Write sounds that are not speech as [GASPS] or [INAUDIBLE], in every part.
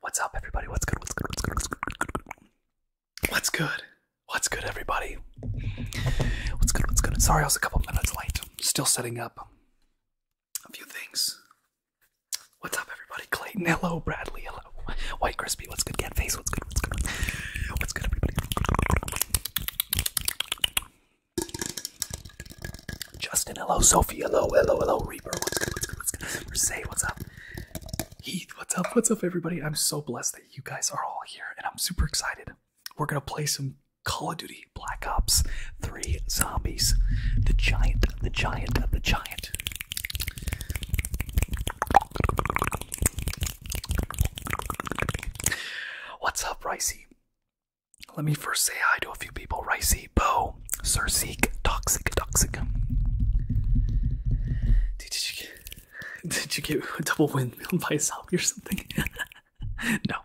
What's up, everybody? What's good? What's good? What's good? What's good? What's good? What's good, everybody? What's good? What's good? Sorry, I was a couple minutes late. Still setting up a few things. What's up, everybody? Clayton, hello. Bradley, hello. White Crispy, what's good? Cat Face, what's good? What's good? What's good, Justin, hello. Sophie, hello. Hello, hello. Reaper, what's good? what's up? Heath, what's up? What's up, everybody? I'm so blessed that you guys are all here, and I'm super excited. We're gonna play some Call of Duty Black Ops 3 Zombies. The giant, the giant, the giant. What's up, Ricy? Let me first say hi to a few people. Ricy, Bo, Sir Seek, Toxic, Toxic. Did you get, [LAUGHS] did you get a double win [LAUGHS] by a zombie or something? [LAUGHS] no,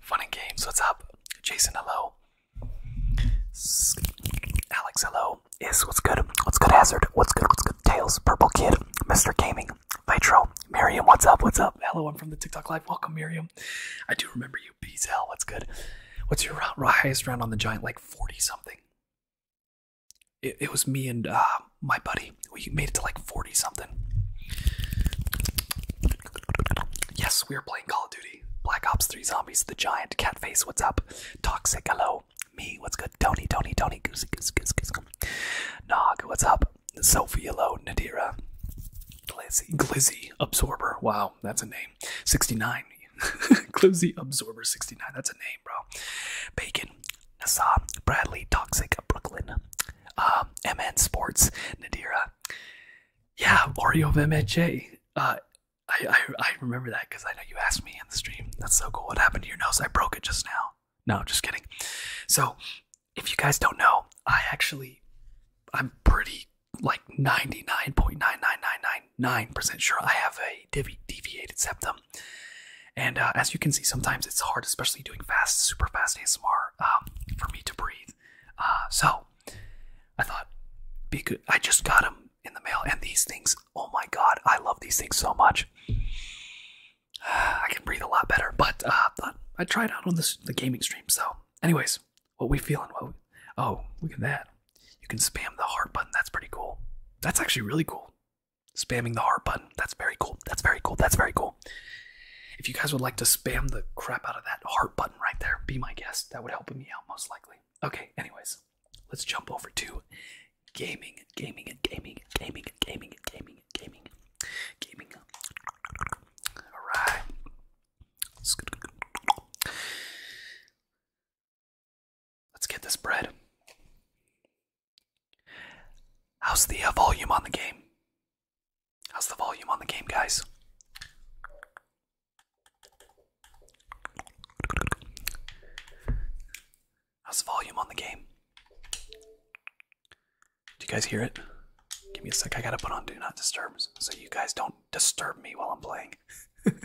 Fun and games, what's up? Jason, hello. Alex, hello. Is what's good? What's good, Hazard? What's good? What's good? Tails, Purple Kid, Mr. Gaming, Vitro, Miriam, what's up? What's up? Hello, I'm from the TikTok Live. Welcome, Miriam. I do remember you. Peace, hell, what's good? What's your highest round on the Giant? Like 40 something. It, was me and uh, my buddy we made it to like 40 something. Yes, we are playing Call of Duty. Black Ops 3 Zombies, the giant, cat face. what's up? Toxic, hello. Me, what's good? Tony, Tony, Tony, Goose, Goose, Goose, Goose. Nog, what's up? Sophie, hello. Nadira, Glizzy, Glizzy, Absorber, wow, that's a name. 69, [LAUGHS] Glizzy, Absorber, 69, that's a name, bro. Bacon, Nasa, Bradley, Toxic, Brooklyn. MN um, Sports, Nadira. Yeah, Oreo of MHA. Uh, I, I, remember that because I know you asked me in the stream. That's so cool. What happened to your nose? I broke it just now. No, just kidding. So, if you guys don't know, I actually, I'm pretty like 99.99999% sure I have a deviated septum. And uh, as you can see, sometimes it's hard, especially doing fast, super fast ASMR um, for me to breathe. Uh, so I thought, be good. I just got them in the mail, and these things. Oh my god, I love these things so much. [SIGHS] I can breathe a lot better, but uh, thought I'd try it out on the gaming stream. So, anyways, what we feeling? What? oh, look at that! You can spam the heart button. That's pretty cool. That's actually really cool. Spamming the heart button. That's very cool. That's very cool. That's very cool. So if you guys would like to spam the crap out of that heart button right there, be my guest. That would help me out most likely. Okay, anyways, let's jump over to gaming, gaming, and gaming, gaming, gaming, gaming, gaming, gaming. Alright. Let's get this bread. How's the uh, volume on the game? How's the volume on the game, guys? How's the volume on the game? Do you guys hear it? Give me a sec. I gotta put on Do Not Disturb so you guys don't disturb me while I'm playing. [LAUGHS] can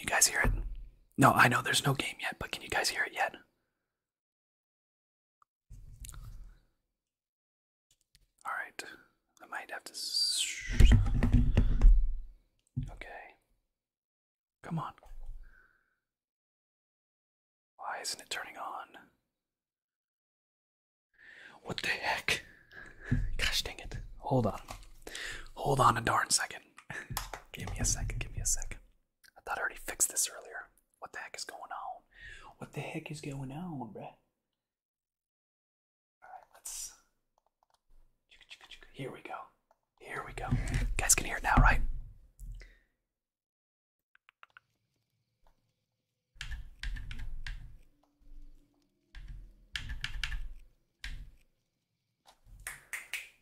you guys hear it? No, I know there's no game yet, but can you guys hear it yet? Alright, I might have to. Okay. Come on. Why isn't it turning on? What the heck? Gosh dang it. Hold on. Hold on a darn second. [LAUGHS] give me a second, give me a second. I thought I already fixed this earlier. What the heck is going on? What the heck is going on, bruh? Alright, let's. Here we go. Here we go. guys can hear it now, right?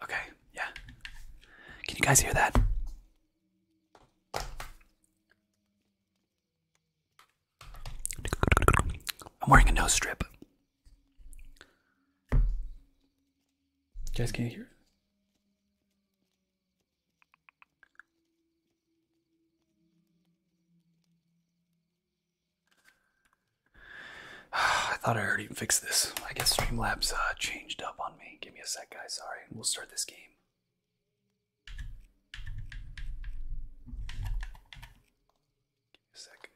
Okay, yeah. Can you guys hear that? I'm wearing a nose strip. You guys can't hear [SIGHS] I thought I already fixed this. I guess Streamlabs uh, changed up on me. Give me a sec, guys. Sorry. We'll start this game. Give a second.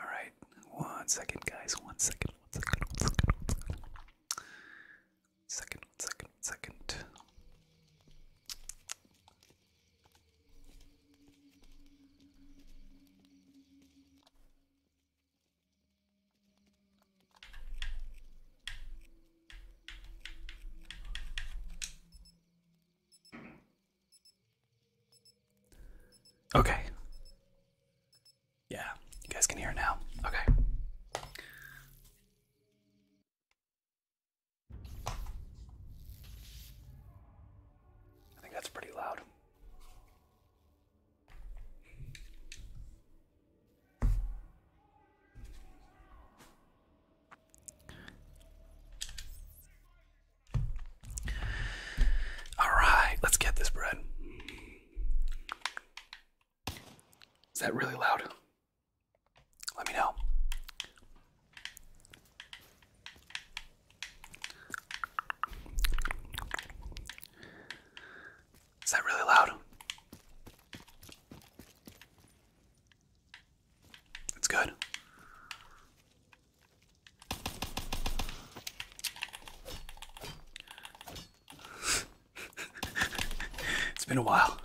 All right, one second, guys. One second. One second. One second. One One second. One second. Okay. Yeah, you guys can hear now. Okay. I think that's pretty loud. All right, let's get this bread. Is that really loud? Let me know. Is that really loud? It's good. [LAUGHS] it's been a while.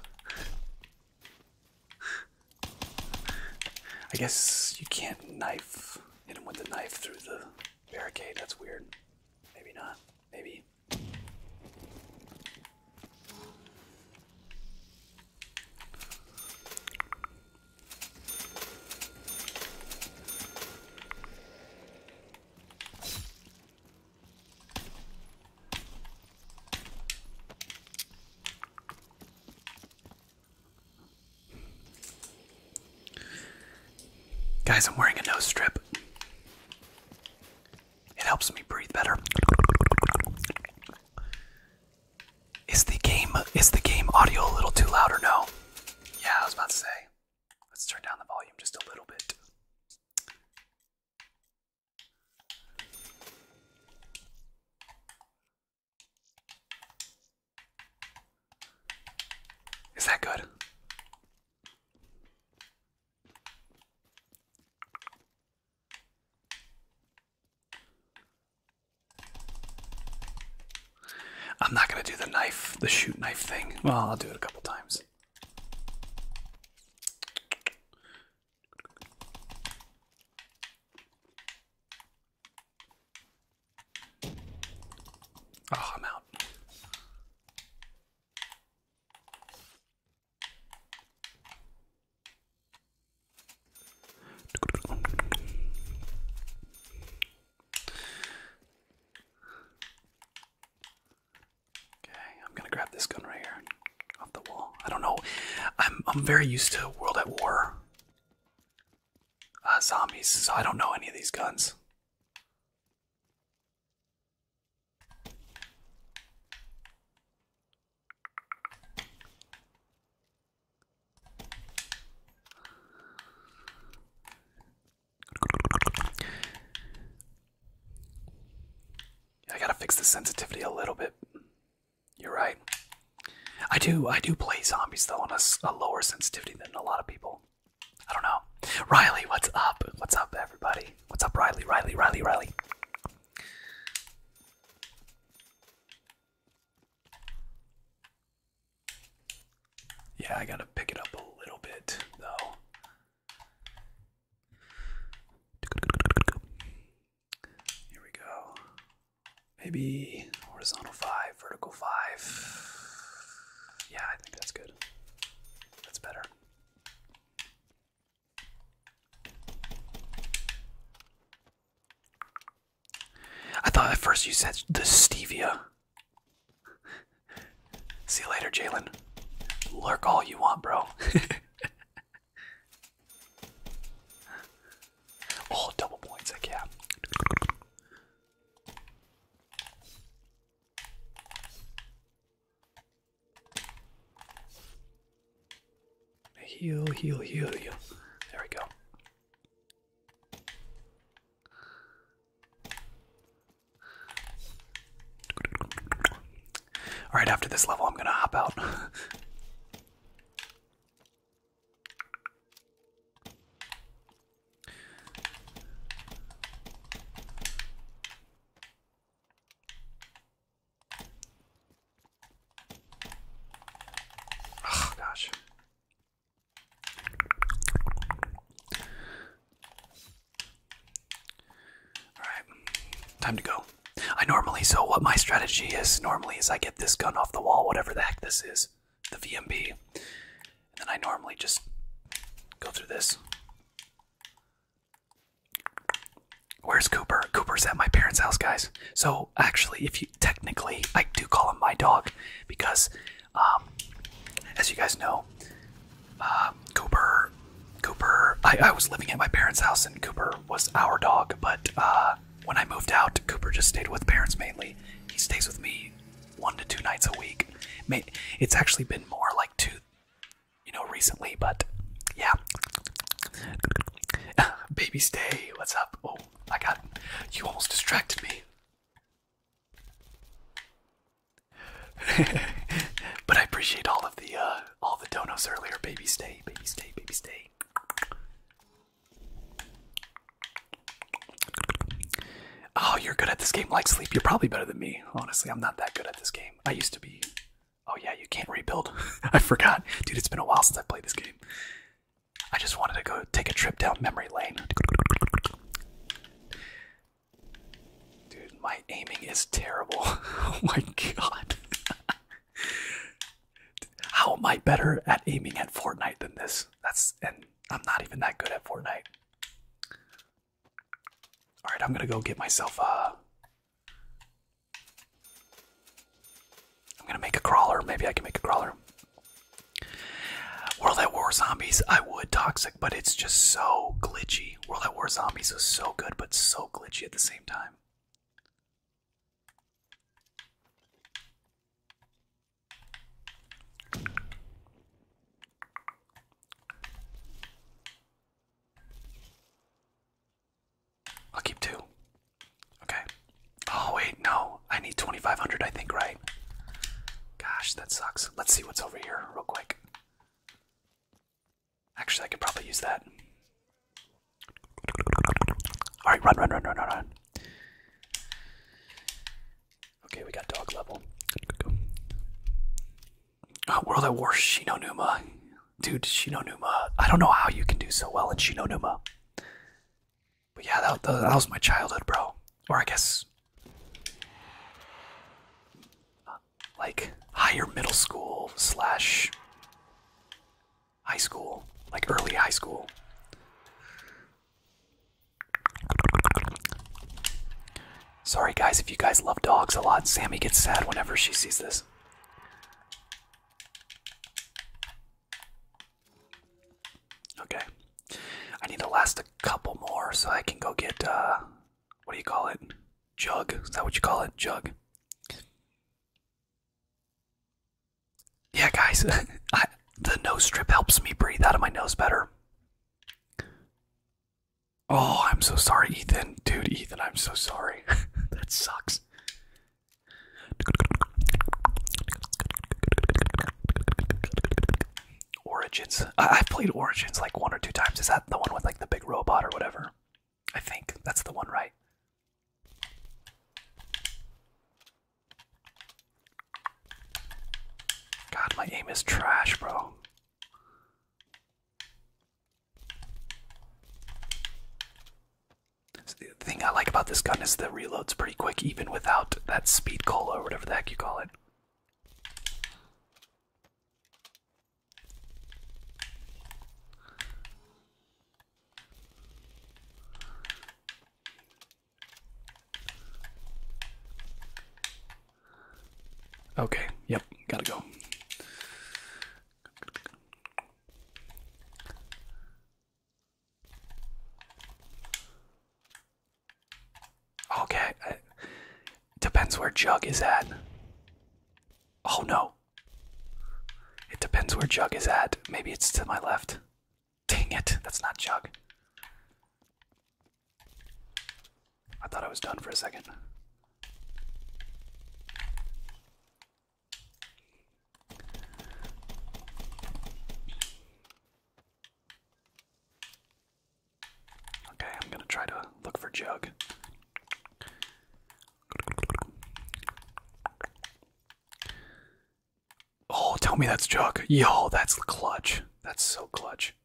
I guess you can't knife hit him with the knife through the barricade. That's weird. Maybe not. Maybe. Guys, I'm wearing a nose strip. It helps me breathe better. Is the game is the game audio a little too loud or no? Yeah, I was about to say. Let's turn down the volume just a little bit. Is that good? I'm not going to do the knife, the shoot knife thing. Well, I'll do it a couple times. Oh, I'm out. Okay, I'm gonna grab this gun right here off the wall. I don't know. I'm I'm very used to World at War uh, zombies, so I don't know any of these guns. I gotta fix the sensitivity a little bit. You're right. I do. I do play zombies though on a, lower sensitivity than a lot of people. I don't know. Riley, what's up? What's up, everybody? What's up, Riley? Riley, Riley, Riley. Yeah, I gotta pick it up a little bit though. Here we go. Maybe horizontal five, vertical five. Yeah, I think that's good. That's better. I thought at first you said the stevia. [LAUGHS] See you later, Jalen. Lurk all you want, bro. [LAUGHS] oh, double points, heck yeah. Heal, heal, heal, heal. There we go. Alright, after this level, I'm gonna hop out. [LAUGHS] Oh gosh. All right. Time to go. I normally, so what my strategy is normally is I get this gun off the wall, whatever the heck this is, the VMB, and then I normally just go through this. Where's Cooper? Cooper's at my parents' house, guys. So actually, if you technically, I do call him my dog because, um, as you guys know, uh, Cooper, Cooper. I, I was living at my parents' house, and Cooper was our dog. But uh, when I moved out, Cooper just stayed with parents mainly. He stays with me one to two nights a week. It's actually been more like two, you know, recently, but yeah. [LAUGHS] Baby stay, what's up? Oh, I got you almost distracted me. [LAUGHS] but I appreciate all of the uh, all the donuts earlier. Baby stay, baby stay, baby stay. Oh, you're good at this game like sleep. You're probably better than me. Honestly, I'm not that good at this game. I used to be. Oh, yeah, you can't rebuild. [LAUGHS] I forgot. Dude, it's been a while since I played this game. I just wanted to go take a trip down memory lane. Dude, my aiming is terrible. [LAUGHS] oh my god. [LAUGHS] How am I better at aiming at Fortnite than this? That's and I'm not even that good at Fortnite. All right, I'm gonna go get myself a. Uh, I'm gonna make a crawler. Maybe I can make a crawler. World at War Zombies, I would toxic, but it's just so glitchy. World at War Zombies is so good, but so glitchy at the same time. I'll keep two. Okay. Oh, wait, no. I need 2,500, I think, right? Gosh, that sucks. Let's see what's over here, real quick. Actually, I could probably use that. Alright, run, run, run, run, run, run. Okay, we got dog level. Oh, World at War Shinonuma. Dude, Shinonuma. I don't know how you can do so well in Shinonuma. But yeah, that, that, that was my childhood, bro. Or I guess. Like higher middle school slash high school, like early high school. Sorry, guys, if you guys love dogs a lot. Sammy gets sad whenever she sees this. Okay. I need to last a couple more so I can go get, uh, what do you call it? Jug. Is that what you call it? Jug yeah, guys, [LAUGHS] the nose strip helps me breathe out of my nose better. Oh, I'm so sorry, Ethan. Dude, Ethan, I'm so sorry. [LAUGHS] that sucks. Origins. I have played Origins like one or two times. Is that the one with like the big robot or whatever? I think that's the one, right? God, my aim is trash, bro. the thing I like about this gun is the reload's pretty quick, even without that speed cola or whatever the heck you call it. Okay, yep, gotta go. Okay, uh, depends where Jug is at. Oh no. It depends where Jug is at. Maybe it's to my left. Dang it, that's not Jug. I thought I was done for a second. Okay, I'm gonna try to look for Jug. Oh, tell me that's Chuck. Yo, that's clutch. That's so clutch.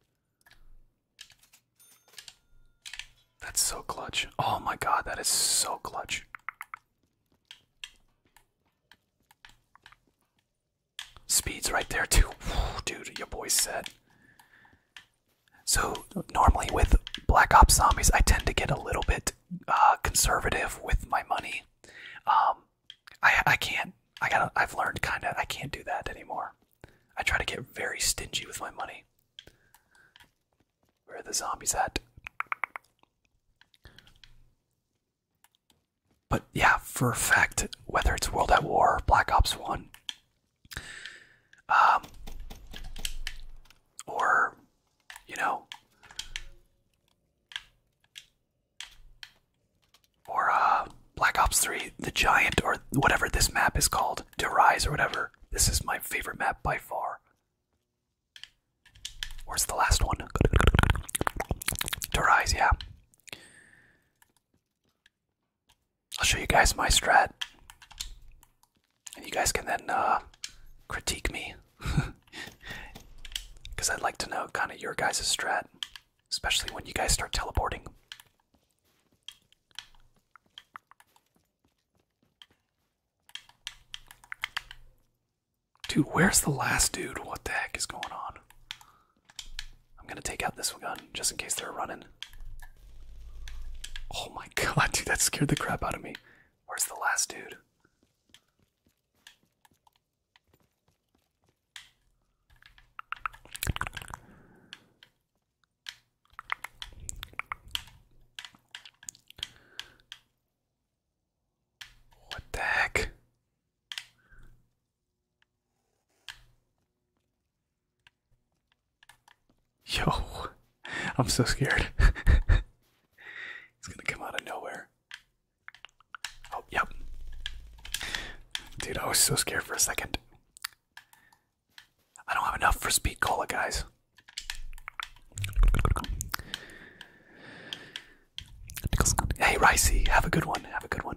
That's so clutch. Oh my god, that is so clutch. Speed's right there too. dude, your boy said. So normally with Black Ops Zombies, I tend to get a little bit uh, conservative with my money. Um, I I can't. I gotta. I've learned kind of. I can't do that anymore. I try to get very stingy with my money. Where are the zombies at? But yeah, for a fact, whether it's World at War, or Black Ops One, um, or you know, or uh, Black Ops 3, the giant or whatever this map is called, Derise or whatever. This is my favorite map by far. Where's the last one? To Rise, yeah. I'll show you guys my strat. And you guys can then uh, critique me. [LAUGHS] Because I'd like to know kind of your guys' strat, especially when you guys start teleporting. Dude, where's the last dude? What the heck is going on? I'm gonna take out this gun just in case they're running. Oh my [LAUGHS] god, dude, that scared the crap out of me. Where's the last dude? What the heck? Yo, [LAUGHS] I'm so scared. He's [LAUGHS] gonna come out of nowhere. Oh, yep. Dude, I was so scared for a second. I don't have enough for speed cola, guys. Hey, Ricey, have a good one. Have a good one.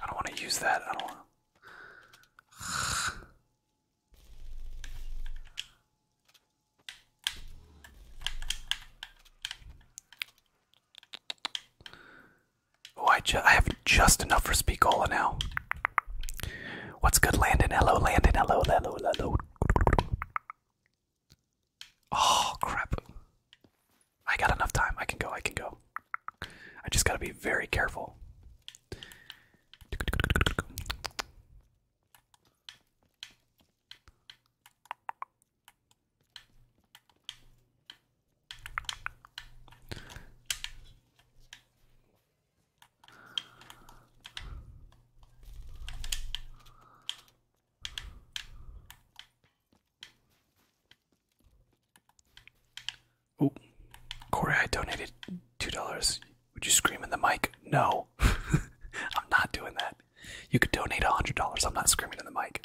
I don't want to use that. I don't want Oh, I, have just enough for Speakola now. What's good, Landon? Hello, Landon. Hello, hello, hello. Oh, crap. I got enough time. I can go. I can go. I just gotta be very careful. Oh, Corey, I donated two dollars. Would you scream in the mic? No, [LAUGHS] I'm not doing that. You could donate a hundred dollars. I'm not screaming in the mic.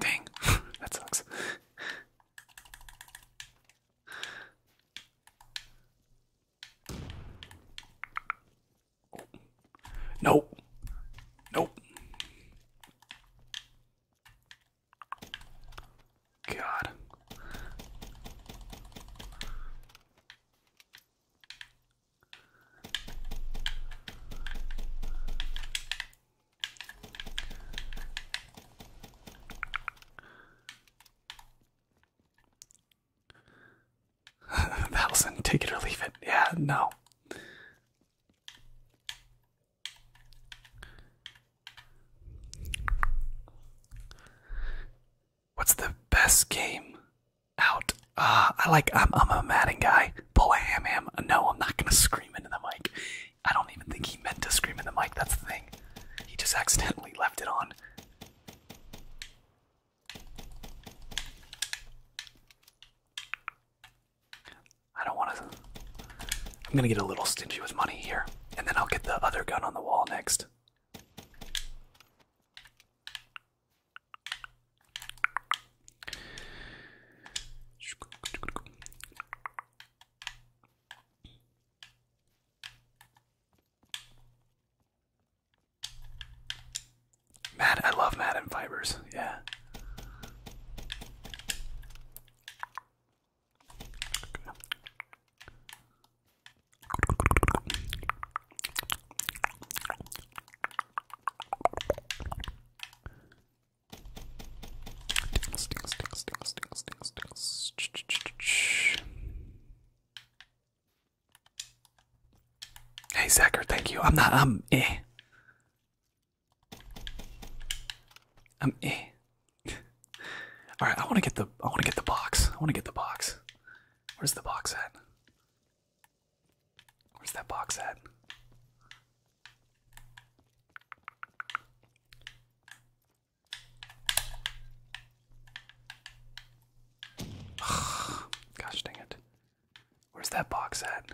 Dang, [LAUGHS] that sucks. Nope. Nope. God. [LAUGHS] Allison, take it or leave it. Yeah, no. What's the best game out? Uh, I like, I'm, I'm a Madden guy. Pull a ham ham. No, I'm not going to scream into the mic. I don't even think he meant to scream in the mic, that's the thing. He just accidentally left it on. I don't want to. I'm gonna get a little stingy with money here, and then I'll get the other gun on the wall next. Mad, I love Mad and fibers. Yeah. Hey Zacker, thank you. I'm not I'm eh. I'm eh. Alright, I wanna get the I wanna get the box. I wanna get the box. Where's the box at? Where's that box at? [SIGHS] Gosh dang it. Where's that box at?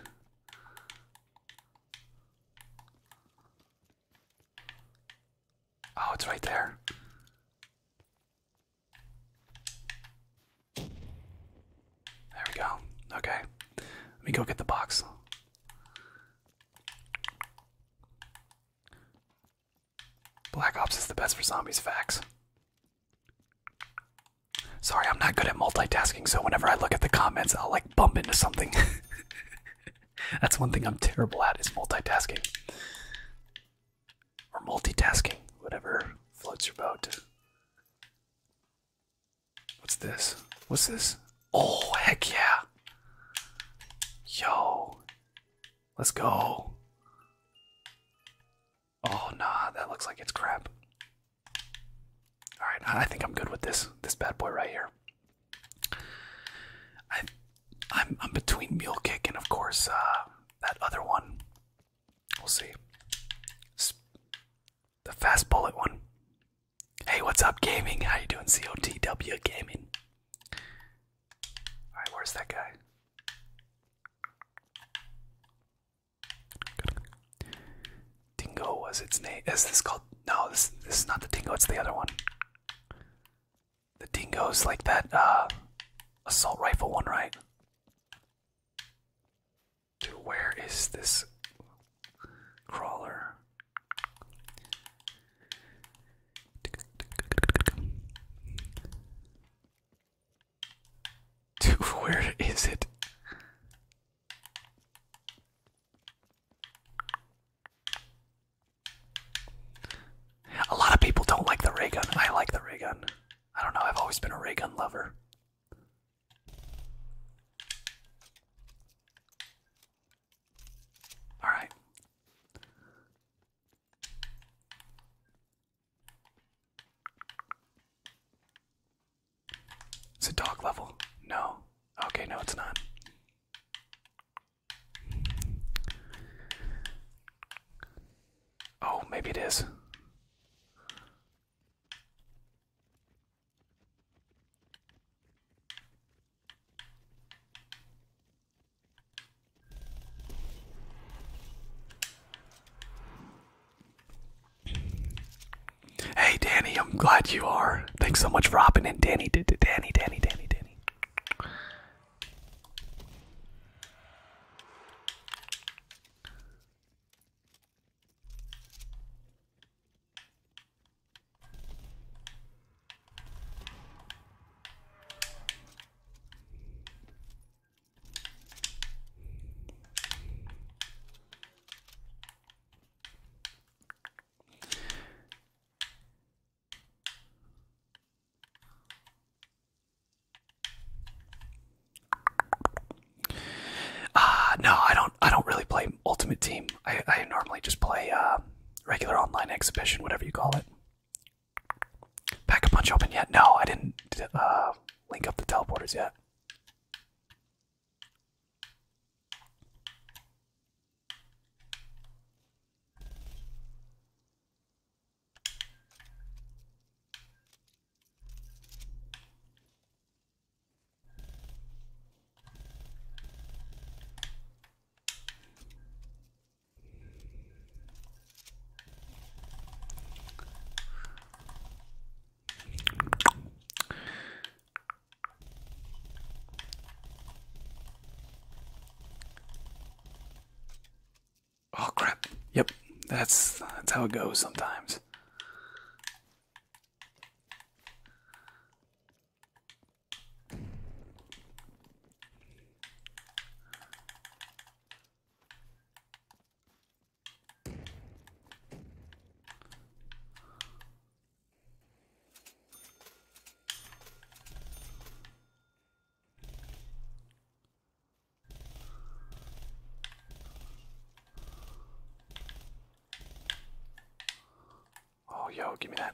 Oh, it's right there. There we go. Okay. Let me go get the box. Black Ops is the best for zombies, facts. Sorry, I'm not good at multitasking, so whenever I look at the comments, I'll like bump into something. [LAUGHS] That's one thing I'm terrible at is multitasking. Or multitasking, whatever floats your boat. What's this? What's this? Oh, heck yeah. Yo. Let's go. Oh, nah, that looks like it's crap. Alright, I think I'm good with this this bad boy right here. I I'm between Mule Kick and of course uh, that other one. We'll see. The fast bullet one. Hey, what's up, gaming? How you doing, COTW gaming? All right, where's that guy? Good. Dingo was its name. Is this called? No, this this is not the dingo. It's the other one. The is like that uh, assault rifle one, right? where is this crawler? [LAUGHS] where is it? A lot of people don't like the ray gun. I like the ray gun. I don't know, I've always been a ray gun lover. All right. Is it dog level? No. Okay, no, it's not. Oh, maybe it is. Hey Danny, I'm glad you are. Thanks so much for hopping in. Danny did it. Danny, Danny, Danny, Danny. Ah, no, I don't. I don't really play ultimate team. I, I normally just play uh, regular online exhibition, whatever you call it. Pack a punch open yet? No, I didn't uh, link up the teleporters yet. Oh crap. Yep. That's that's how it goes sometimes. Oh, yo, give me that.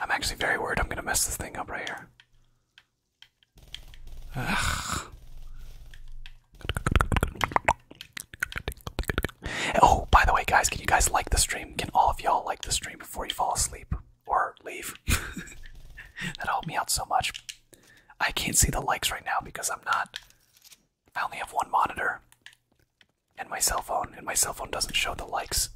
I'm actually very worried I'm going to mess this thing up right here. Ugh. Oh, by the way, guys, can you guys like the stream? Can all of y'all like the stream before you fall asleep? or leave. [LAUGHS] that helped me out so much. I can't see the likes right now because I'm not. I only have one monitor and my cell phone, and my cell phone doesn't show the likes.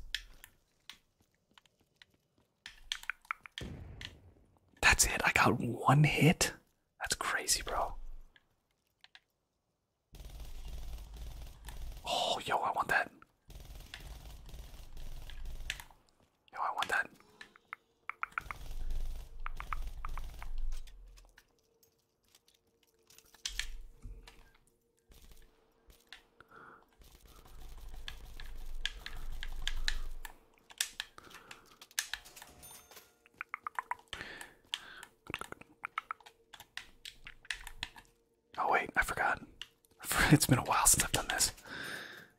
That's it. I got one hit. That's crazy, bro. Oh, yo, I want that. Yo, I want that. Oh wait, I forgot. [LAUGHS] It's been a while since I've done this.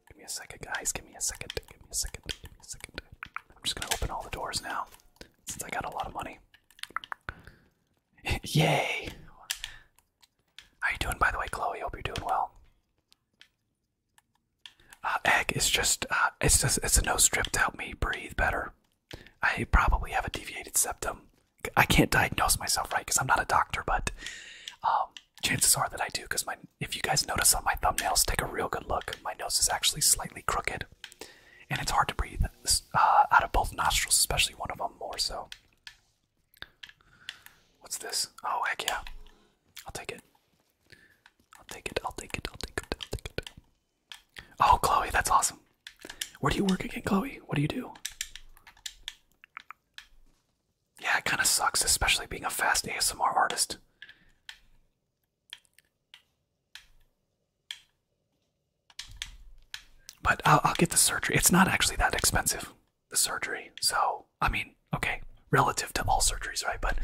Give me a second, guys. Give me a second. Give me a second. Give me a second. I'm just gonna open all the doors now, since I got a lot of money. [LAUGHS] Yay! How you doing, by the way, Chloe? Hope you're doing well. Uh, egg is just, uh, it's just, it's a nose strip to help me breathe better. I probably have a deviated septum. I can't diagnose myself right because I'm not a doctor, but um, chances are that I do. Because my, if you guys notice on my thumbnails, take a real good look. My nose is actually slightly crooked, and it's hard to breathe uh, out of both nostrils, especially one of them more so. What's this? Oh heck yeah! I'll take it. I'll take it. I'll take it. I'll take it. I'll take it. Oh Chloe, that's awesome. Where do you work again, Chloe? What do you do? Yeah, it kind of sucks, especially being a fast ASMR artist. But I'll, get the surgery. It's not actually that expensive, the surgery. So, I mean, okay, relative to all surgeries, right? But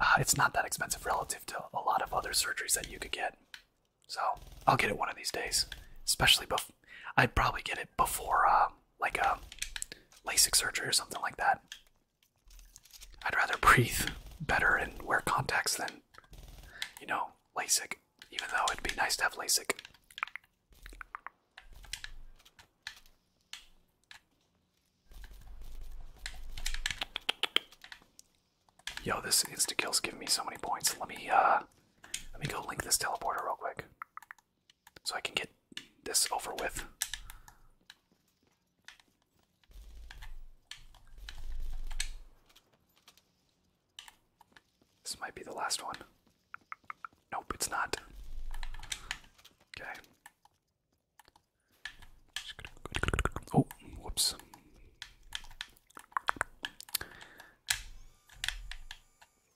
uh, it's not that expensive relative to a lot of other surgeries that you could get. So, I'll get it one of these days, especially before. I'd probably get it before uh, like a uh, LASIK surgery or something like that. I'd rather breathe better and wear contacts than, you know, LASIK, even though it'd be nice to have LASIK. Yo, this insta kill's giving me so many points. Let me uh let me go link this teleporter real quick so I can get this over with. This might be the last one. Nope, it's not. Okay. Oh, whoops.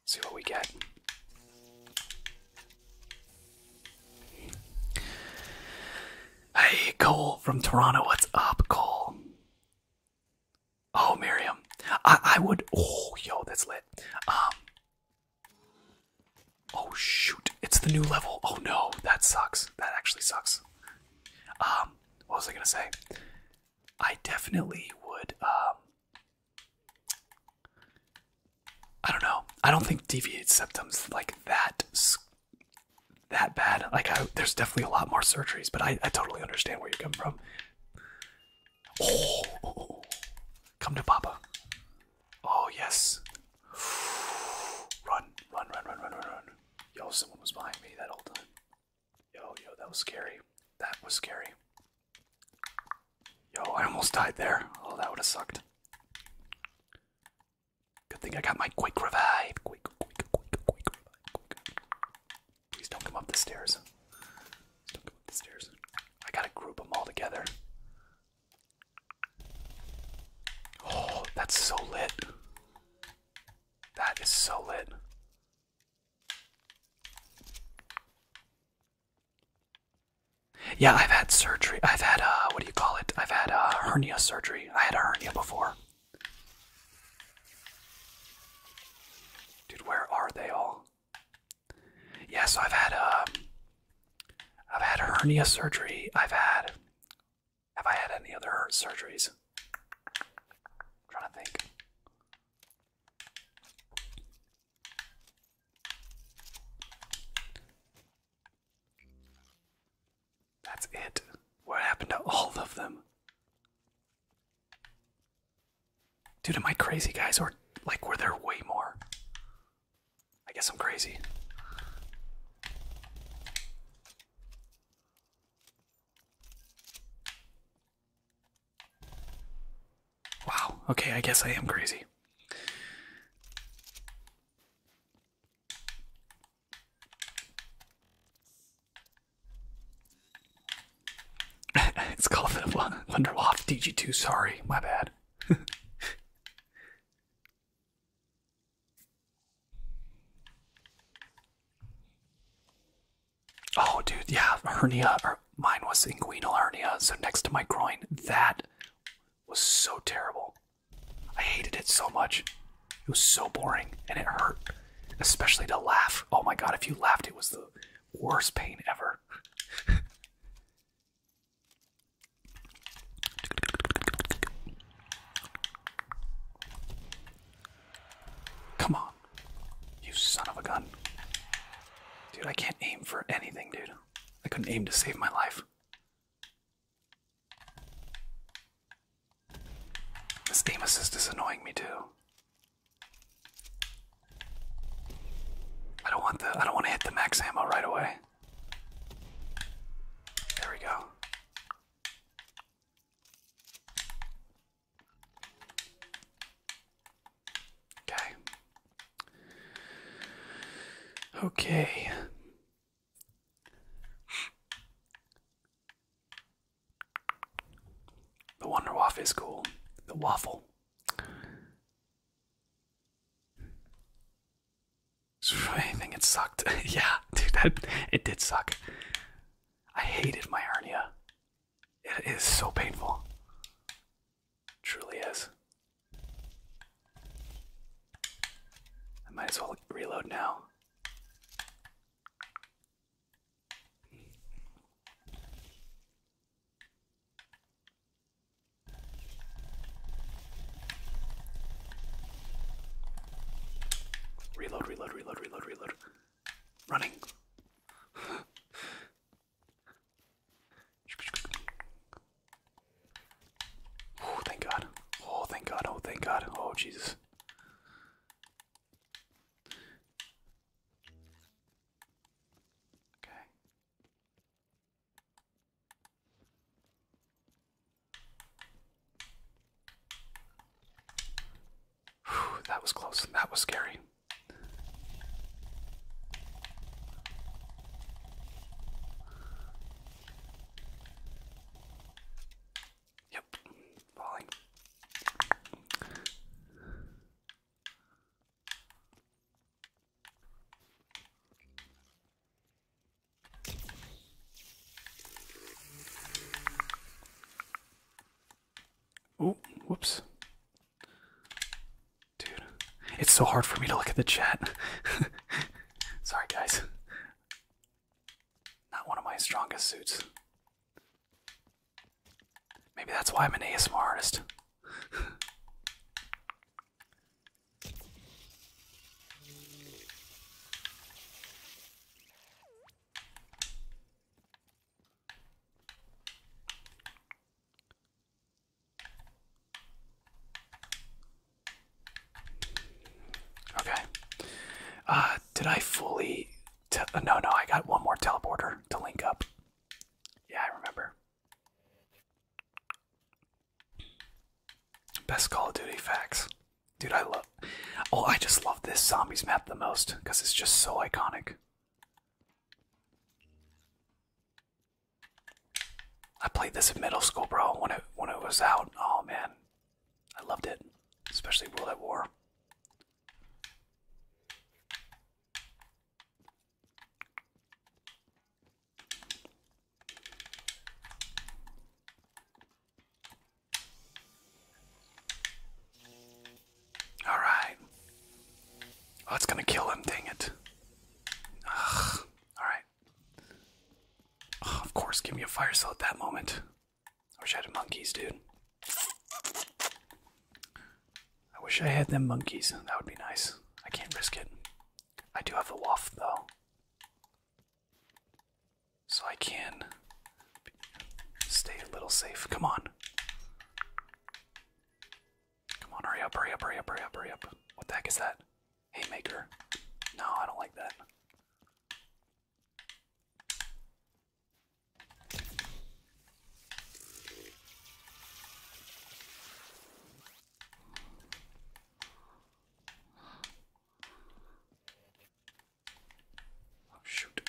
See what we get. Hey, Cole from Toronto. What's up, Cole? Oh, Miriam. I, I would. Oh, yo, that's lit. Um. Oh, shoot. It's the new level. Oh, no. That sucks. That actually sucks. Um, what was I going to say? I definitely would. Um, I don't know. I don't think deviate septum's like that that bad. Like I, there's definitely a lot more surgeries, but I, I totally understand where you come from. Oh, oh, oh, come to Papa. Oh yes. [SIGHS] Run, run, run, run, run, run, run. Yo, someone was behind me that whole time. Yo, yo, that was scary. That was scary. Yo, I almost died there. Oh, that would have sucked. Good thing I got my quick revive. Please don't come up the stairs. Don't come up the stairs. I gotta group them all together. Oh, that's so lit. That is so lit. Yeah, I've had surgery. I've had, uh, what do you call it? I've had uh, hernia surgery. I had a hernia before. Dude, where are they all? Yeah, so I've had, uh, I've had hernia surgery. I've had, have I had any other surgeries? trying to think. That's it. What happened to all of them? Dude, am I crazy, guys? Or, like, were there way more? I guess I'm crazy. Wow, okay, I guess I am crazy. [LAUGHS] it's called the Wonderwaft DG2, sorry, my bad. Oh, dude, yeah, hernia. mine was inguinal hernia, so next to my groin. That was so terrible. I hated it so much. It was so boring, and it hurt, especially to laugh. Oh my god, if you laughed, it was the worst pain ever. [LAUGHS] Come on. You son of a gun. Dude, I can't aim for anything, dude. I couldn't aim to save my life. This game assist is annoying me too. I don't want the I don't want to hit the max ammo right away. There we go. Okay. Okay. The Wonder waffle is cool. The waffle. I think it sucked. [LAUGHS] yeah, dude, that it did suck. I hated my hernia. It is so painful. Truly is. I might as well reload now. Reload, reload, reload, reload, reload. Running. [LAUGHS] Oh, thank God. Oh, thank God. Oh, thank God. Oh, Jesus. Okay. that was close. That was scary. Yep, falling. Oh, whoops. Dude, it's so hard for me to look at the chat. [LAUGHS] Sorry, guys. Not one of my strongest suits. Maybe that's why I'm an ASMR artist. Okay. Uh, did I fully? Uh, no, no. I got one more teleporter to link up. Yeah, I remember. Best Call of Duty facts, dude. I love. Oh, I just love this zombies map the most because it's just so iconic. I played this in middle school, bro. When it when it was out, oh man, I loved it, especially World at War. All right. Oh, it's gonna kill him. Dang it. All right. of course, give me a fire cell at that moment. I wish I had monkeys, dude. I wish I had them monkeys. That would be nice. I can't risk it. I do have the waft though. So I can stay a little safe. Come on. Come on, hurry up, hurry up, hurry up, hurry up, hurry up. What the heck is that? Haymaker. No, I don't like that. Oh shoot.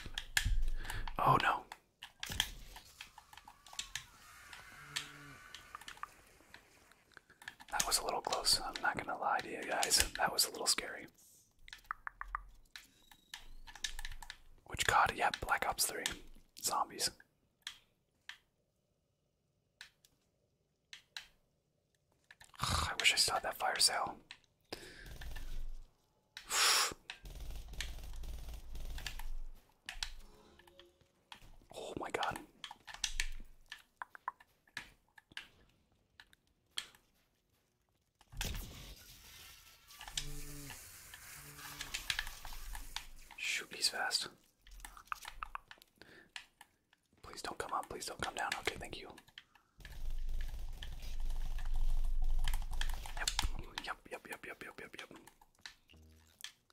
Oh no. That was a little close. I'm not going to lie to you guys. That was a little scary. Which COD? Yep, Black Ops 3. Zombies. I wish I saw that fire sale. Oh my god. Shoot, he's fast. Please don't come up. Please don't come down. Okay, thank you. Yep, yep, yep, yep, yep, yep, yep.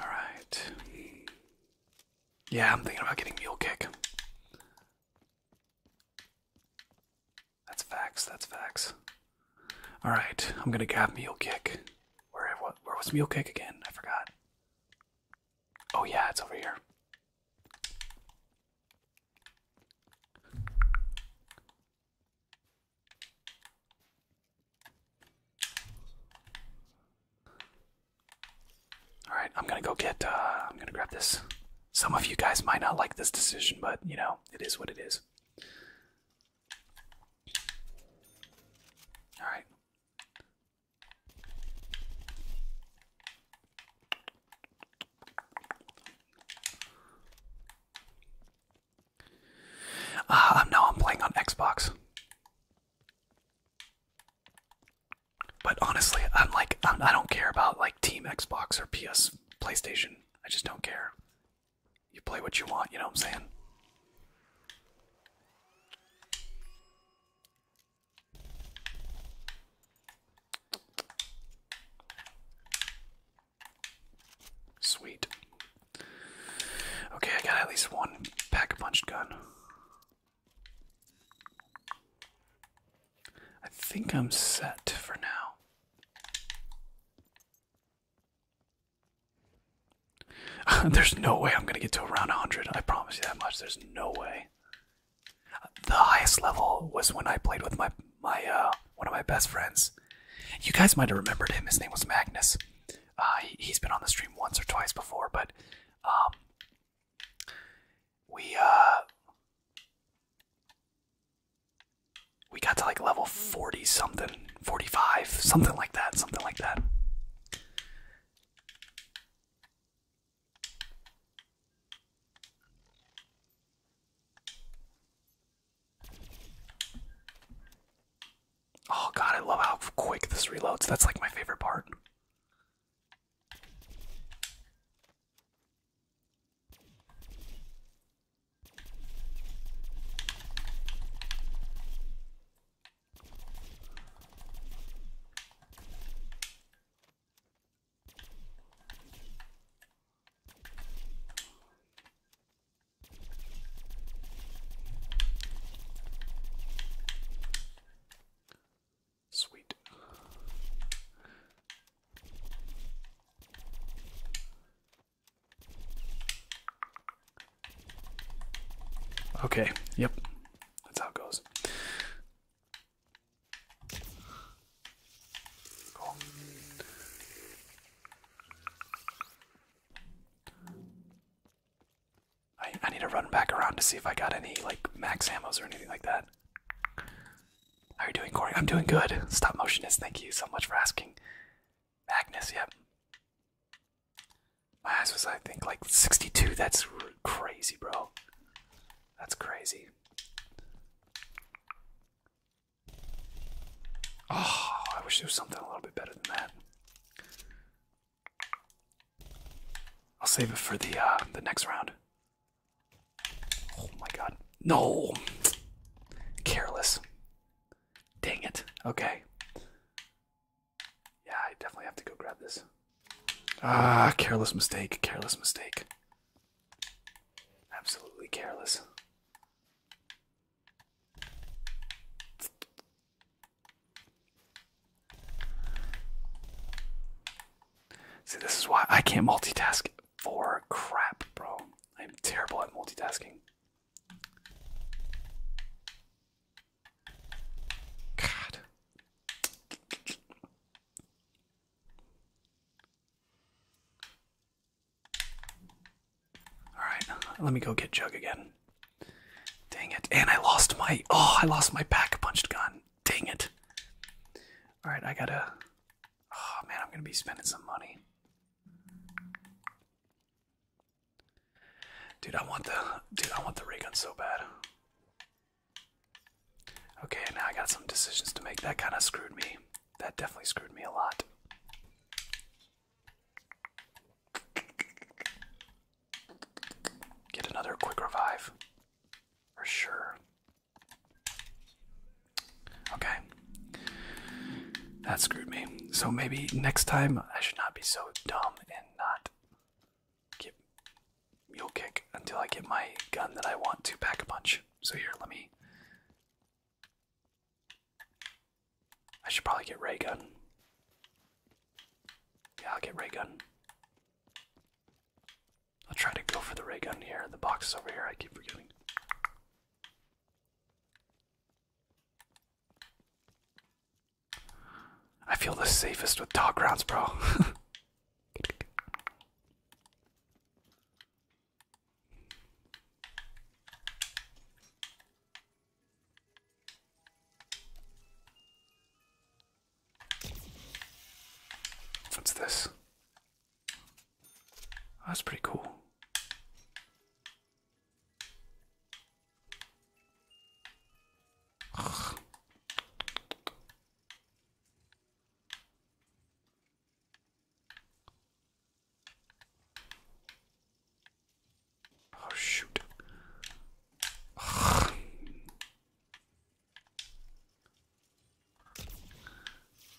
All right. Yeah, I'm thinking about getting Mule Kick. That's facts. That's facts. All right, I'm gonna grab Mule Kick. Where what? Where was Mule Kick again? I forgot. Oh yeah, it's over here. All right, I'm gonna go get. Uh, I'm gonna grab this. Some of you guys might not like this decision, but you know it is what it is. All right. Uh, now I'm playing on Xbox. But honestly, I'm like, I'm, I am like i do not care about like Team Xbox or PS PlayStation. I just don't care. You play what you want, you know what I'm saying? Sweet. Okay, I got at least one pack a punch gun. I think I'm set for now. [LAUGHS] There's no way I'm gonna get to around 100. I promise you that much. There's no way. The highest level was when I played with my my uh, one of my best friends. You guys might have remembered him. His name was Magnus. Uh, he, has been on the stream once or twice before, but um, we uh, we got to like level forty something, forty five, something like that, something like that. Oh god, I love how quick this reloads. That's like my favorite part. Sweet. Okay, yep. That's how it goes. I, I need to run back around to see if I got any like max ammos or anything like that. How you doing, Corey? I'm doing good. Stop motionist, thank you so much for asking. Magnus, yep. My ass was I think like 62. That's crazy, bro. That's crazy. Oh, I wish there was something a little bit better than that. I'll save it for the uh, the next round. Oh my god. No! Careless. Dang it. Okay. Yeah, I definitely have to go grab this. Ah, careless mistake, careless mistake. Absolutely careless. See, this is why I can't multitask for crap, bro. I'm terrible at multitasking. God. Alright, let me go get Jug again. Dang it. And I lost my. Oh, I lost my pack punched gun. Dang it. Alright, I gotta. Oh man, I'm gonna be spending some money. Dude, I want the dude, I want the ray gun so bad. Okay, now I got some decisions to make. That kind of screwed me that definitely screwed me a lot. Get another quick revive. For sure. Okay. That screwed me. So maybe next time I should not be so dumb and not get mule kick until I get my gun that I want to pack a punch. So here, let me I should probably get ray gun. Yeah, I'll get ray gun. I'll try to go for the ray gun here. The box is over here. I keep forgetting. I feel the safest with dog rounds, bro. [LAUGHS] What's this? Oh, that's pretty cool. Ugh. Oh shoot.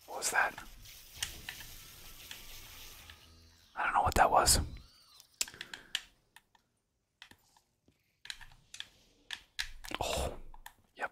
What was that? I don't know what that was. Oh, yep.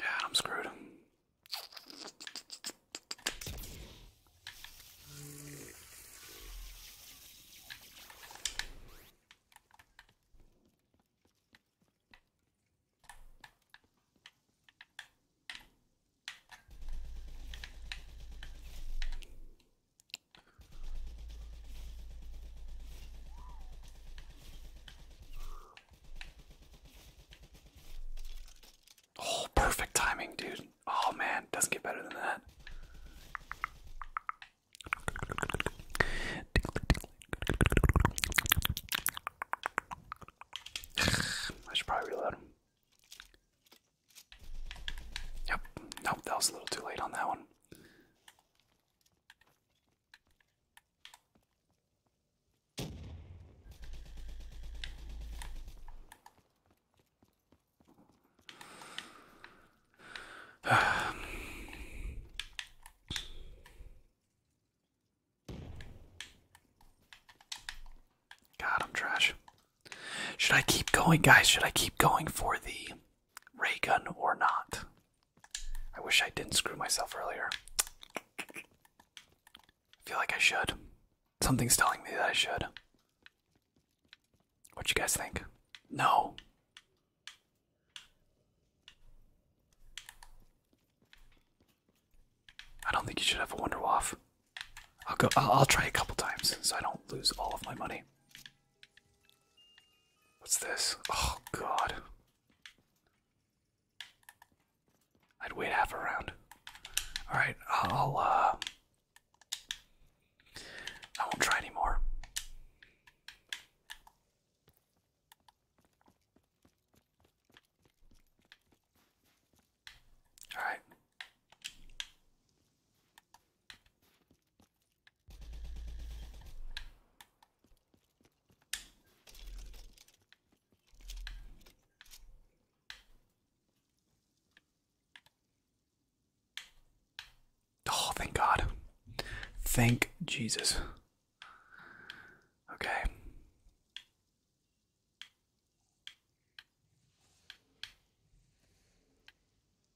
Yeah, I'm screwed. Oh, perfect timing, dude. Oh man, doesn't get better than that. [SIGHS] I should probably reload him. Yep, nope, that was a little too late on that one. [SIGHS] God, I'm trash. Should I keep going, guys? Should I keep going for the ray gun or not? I wish I didn't screw myself earlier. I feel like I should. Something's telling me that I should. What you guys think? No. I don't think you should have a wonder waff. I'll go. I'll, I'll try a couple times so I don't lose all of my money. What's this? Oh, God. I'd wait half a round. Alright, I'll, uh. I won't try anymore. Alright. Oh, thank God. Thank Jesus. Okay.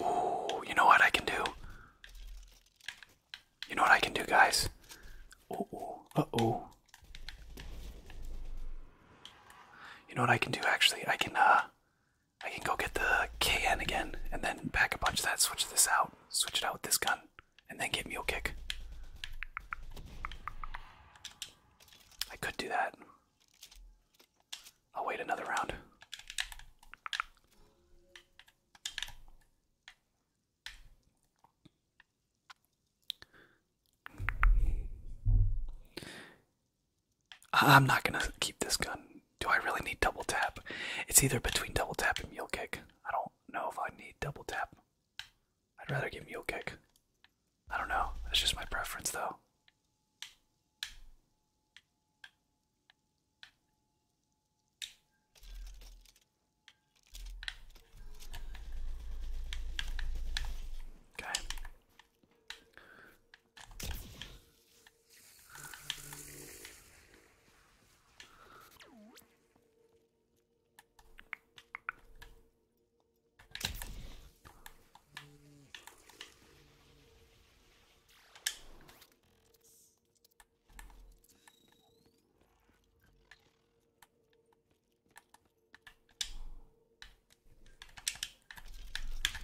Ooh, you know what I can do? You know what I can do, guys? Uh oh, uh oh. You know what I can do actually? I can uh I can go get the KN again and then back a bunch of that, switch this out, switch it out with this gun and then get Mule Kick. I could do that. I'll wait another round. I'm not gonna keep this gun. Do I really need double tap? It's either between double tap and mule kick. I don't know if I need double tap. I'd rather give Mule Kick. I don't know. That's just my preference, though. Okay.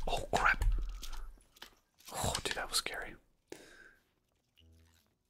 Oh crap! Oh dude, that was scary.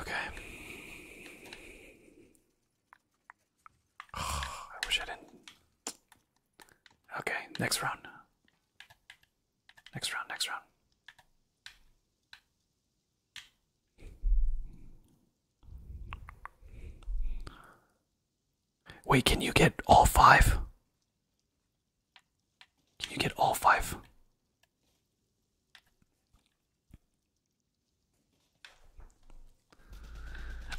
Okay. [SIGHS] I wish I didn't. Okay, next round. Next round, next round. Wait, can you get all five? Can you get all five?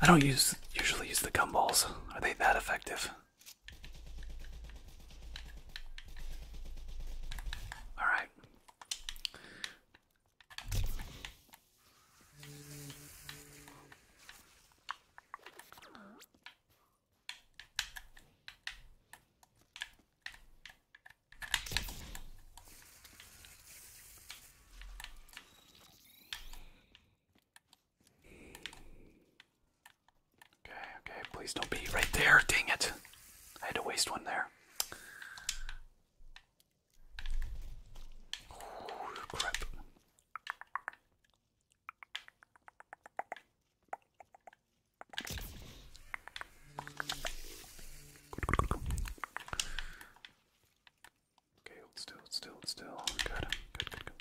I don't use usually use the gumballs. Are they that effective? All right. Okay, okay, please don't be right there. Dang it. I had to waste one there. Okay, hold still, hold still, hold still. Good, good, good, good.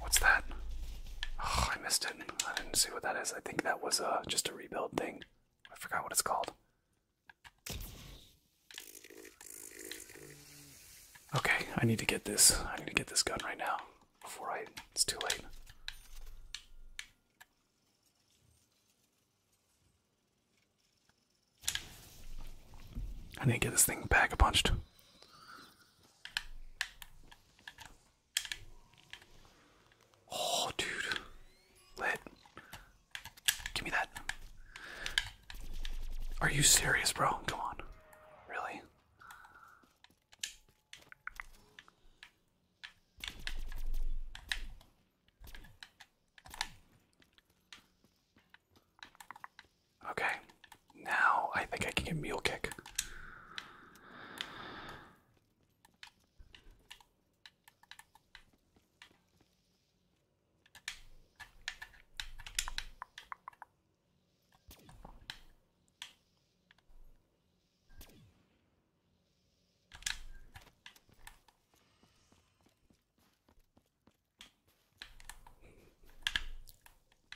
What's that? Oh, I missed it. I didn't see what that is. I think that was uh, just a rebuild thing. I forgot what it's called. Okay, I need to get this. I need to get this gun right now before I it's too late. I need to get this thing back. a punched. Oh, dude. Lit. Give me that. Are you serious, bro? Come on. Really? Okay. Now I think I can get mule kick.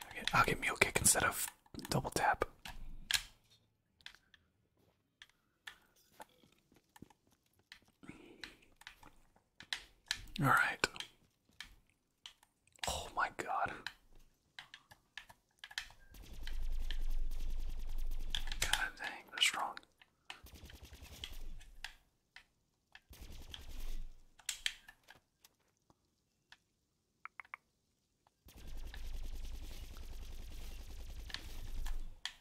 I'll get, I'll get mule kick instead of double tap. All right. Oh my god. God dang, they strong.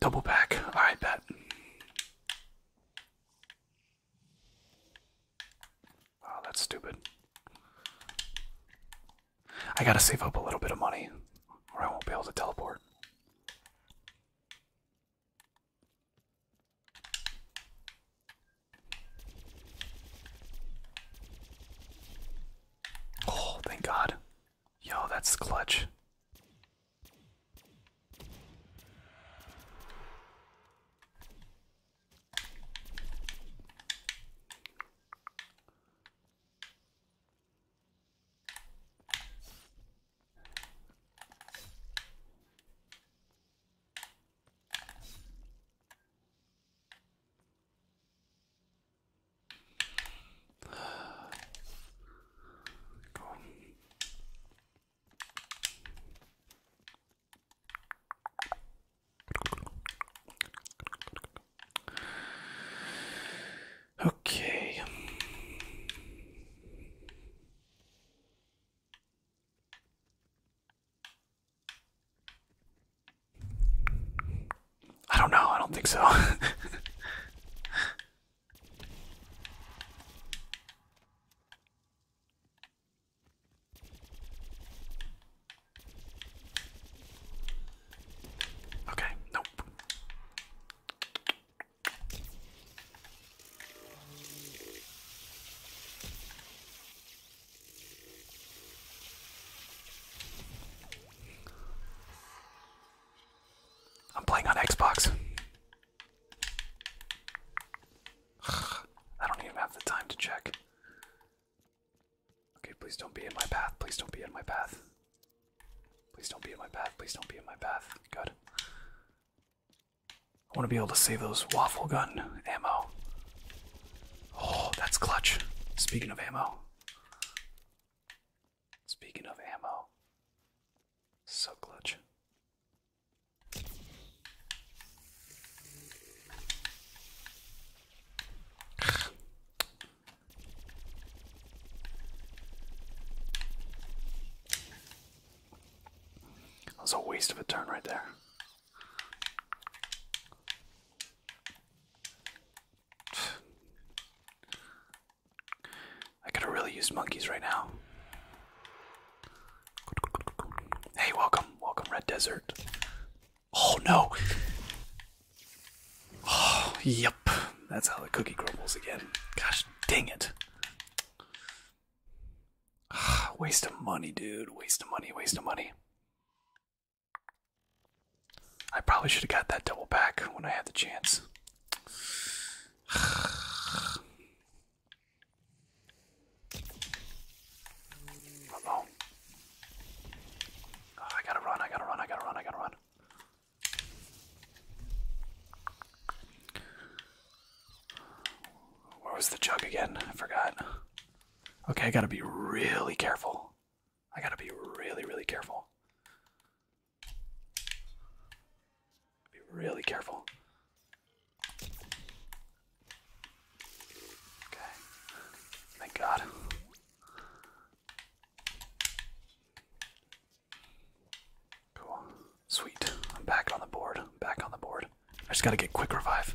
Double back. All right, bet. Oh, that's stupid. I gotta save up a little bit of money, or I won't be able to teleport. Oh, thank God. Yo, that's clutch. Go on. Okay. I don't know. I don't think so. [LAUGHS] okay, nope. I'm playing on Xbox. I don't even have the time to check. Okay, please don't be in my path. Please don't be in my path. Please don't be in my path. Please don't be in my path. Good. I want to be able to save those waffle gun ammo. Oh, that's clutch. Speaking of ammo, Speaking of ammo, so clutch. [SIGHS] That was a waste of a turn right there. I could have really use monkeys right now. Hey, welcome, welcome, Red Desert. Oh no! Oh, yep, that's how the cookie crumbles again. Gosh dang it. Ah, waste of money, dude. Waste of money, waste of money. I probably should have got that double back when I had the chance. Uh oh. I gotta run, I gotta run, I gotta run, I gotta run. Where was the jug again? I forgot. Okay, I gotta be really careful. I gotta be really, really careful. Be really careful. Okay. Thank God. Cool. Sweet. I'm back on the board. back on the board. I just gotta get quick revive.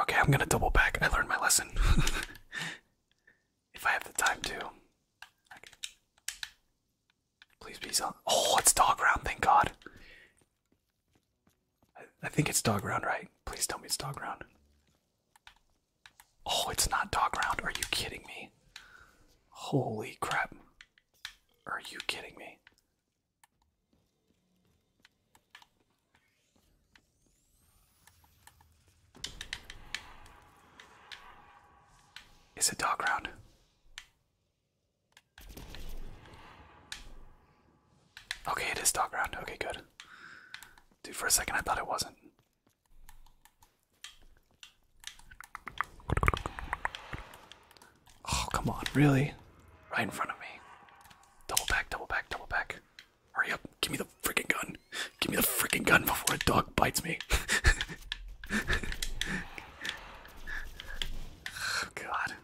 Okay, I'm gonna double back. I learned my lesson. [LAUGHS] if I have the time to. Please be so. Oh, it's dog round, thank God. I, I think it's dog round, right? Please tell me it's dog round. Oh, it's not dog round. Are you kidding me? Holy crap. Are you kidding me? Is it dog round? Okay, it is dog round. Okay, good. Dude, for a second I thought it wasn't. Oh, come on, really? Right in front of me. Double back, double back, double back. Hurry up. Give me the freaking gun. Give me the freaking gun before a dog bites me. [LAUGHS] Oh, God.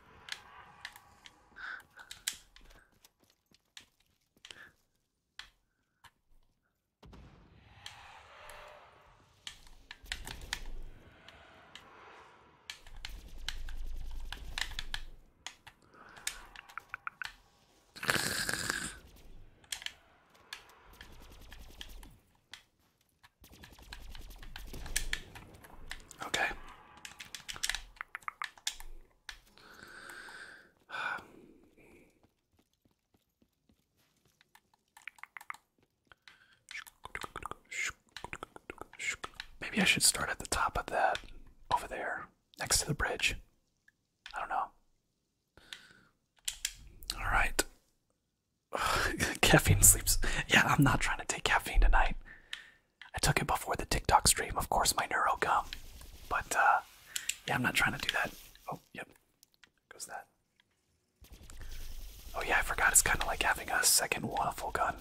Okay. Maybe I should start at the top of that over there next to the bridge. I don't know. All right. [SIGHS] caffeine sleeps. Yeah, I'm not trying to take caffeine tonight. I took it before the TikTok stream. Of course, my neuro gum. But uh, yeah, I'm not trying to do that. Oh, yep. Goes that. Oh yeah, I forgot. It's kind of like having a second waffle gun.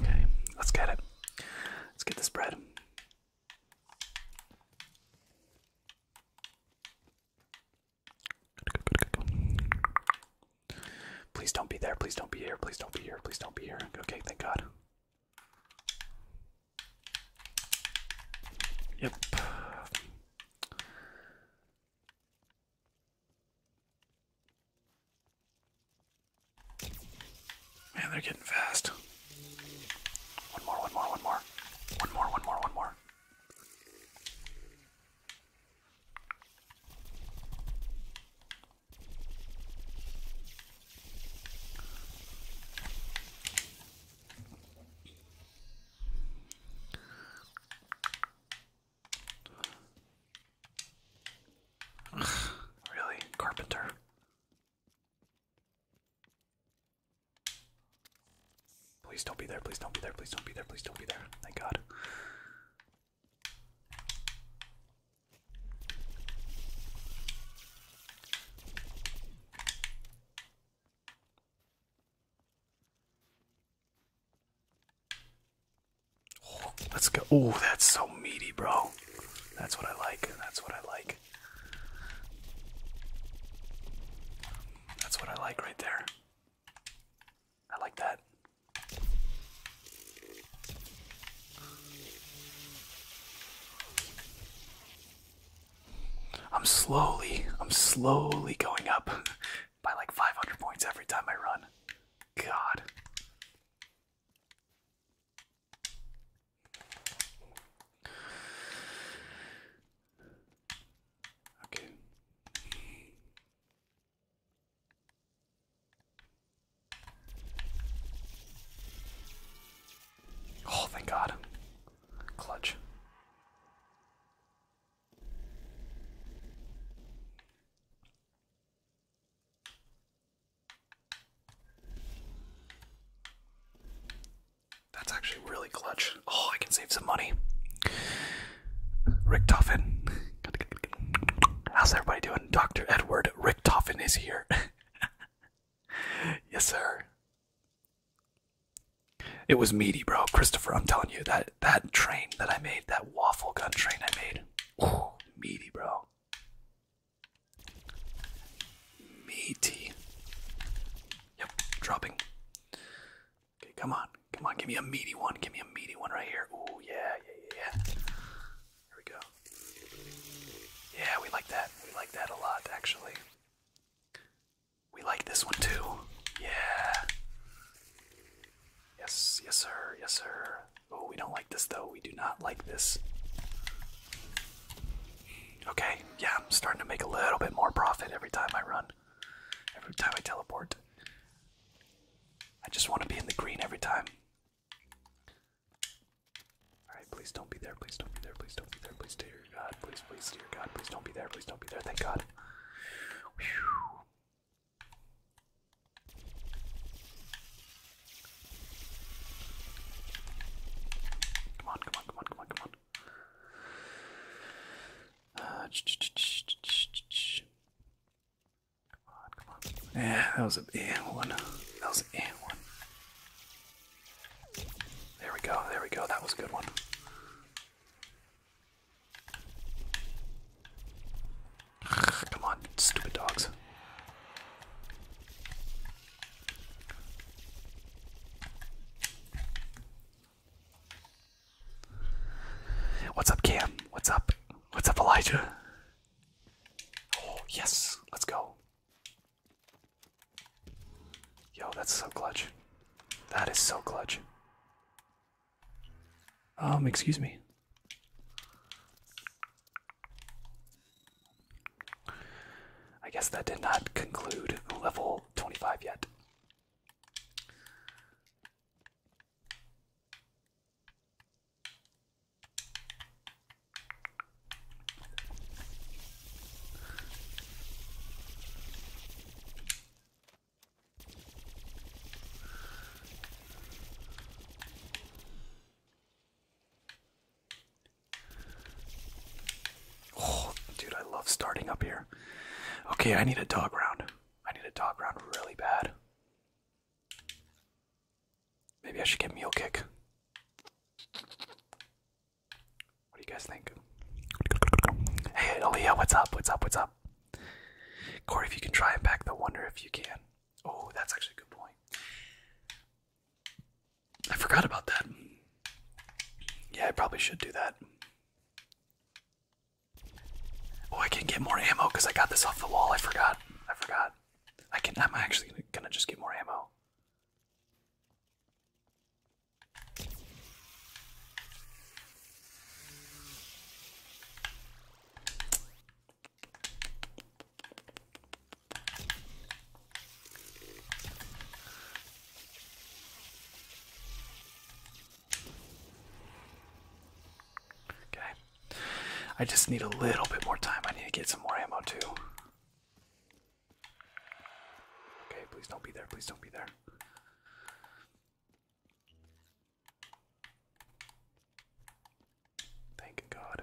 Okay, let's get it. Let's get this bread. Please don't be there. Please don't be here. Please don't be here. Please don't be here. Okay, thank God. Yep. Man, they're getting fast. One more, one more, one more. One more, one more, one more. [SIGHS] really? Carpenter? Please don't be there, please don't be there, please don't be there, please don't be there. Thank God let's go. Ooh, that's so meaty, bro. That's what I like. That's what I like. That's what I like right there. I like that. I'm slowly, I'm slowly going up by like 500 points every time I run. God. Okay. Oh, thank God. Clutch. That's actually really clutch. Oh, I can save some money. Richtofen. How's everybody doing? Dr. Edward Richtofen is here. [LAUGHS] yes, sir. It was meaty, bro. Christopher, I'm telling you, that that train that I made, that waffle gun train I made. Ooh, meaty, bro. Meaty. Yep, dropping. Okay, come on. Come on, give me a meaty one. Give me a meaty one right here. Ooh, yeah, yeah, yeah. Here we go. Yeah, we like that. We like that a lot, actually. We like this one too. Yeah. Yes, yes, sir, yes, sir. Oh, we don't like this though. We do not like this. Okay, yeah, I'm starting to make a little bit more profit every time I run. Every time I teleport. I just want to be in the green every time. Alright, please don't be there, please don't be there, please don't be there, please dear God, please, please, dear God, please don't be there, please don't be there, thank God. Come on, come on, come on, come on, come on. Uh, ch -ch -ch -ch -ch -ch -ch. Come on, come on. Yeah, that was an eh one. That was an eh one. There we go, there we go. That was a good one. Come on, stupid dogs. What's up, Cam? What's up? What's up, Elijah? Oh, yes, let's go. Yo, that's so clutch. That is so clutch. Um, excuse me. I guess that did not conclude level 25 yet. Oh, dude, I love starting up here. Okay, I need a dog round. I need a dog round really bad. Maybe I should get Mule Kick. What do you guys think? Hey, Aaliyah, what's up? What's up? What's up? Corey, if you can try and pack the wonder if you can. Oh, that's actually a good point. I forgot about that. Yeah, I probably should do that. Oh, I can get more ammo because I got this off the wall. I forgot. I forgot. I can. I'm actually gonna just get more ammo. Okay. I just need a little bit more time. I need to get some more ammo too. Okay, please don't be there. Please don't be there. Thank God.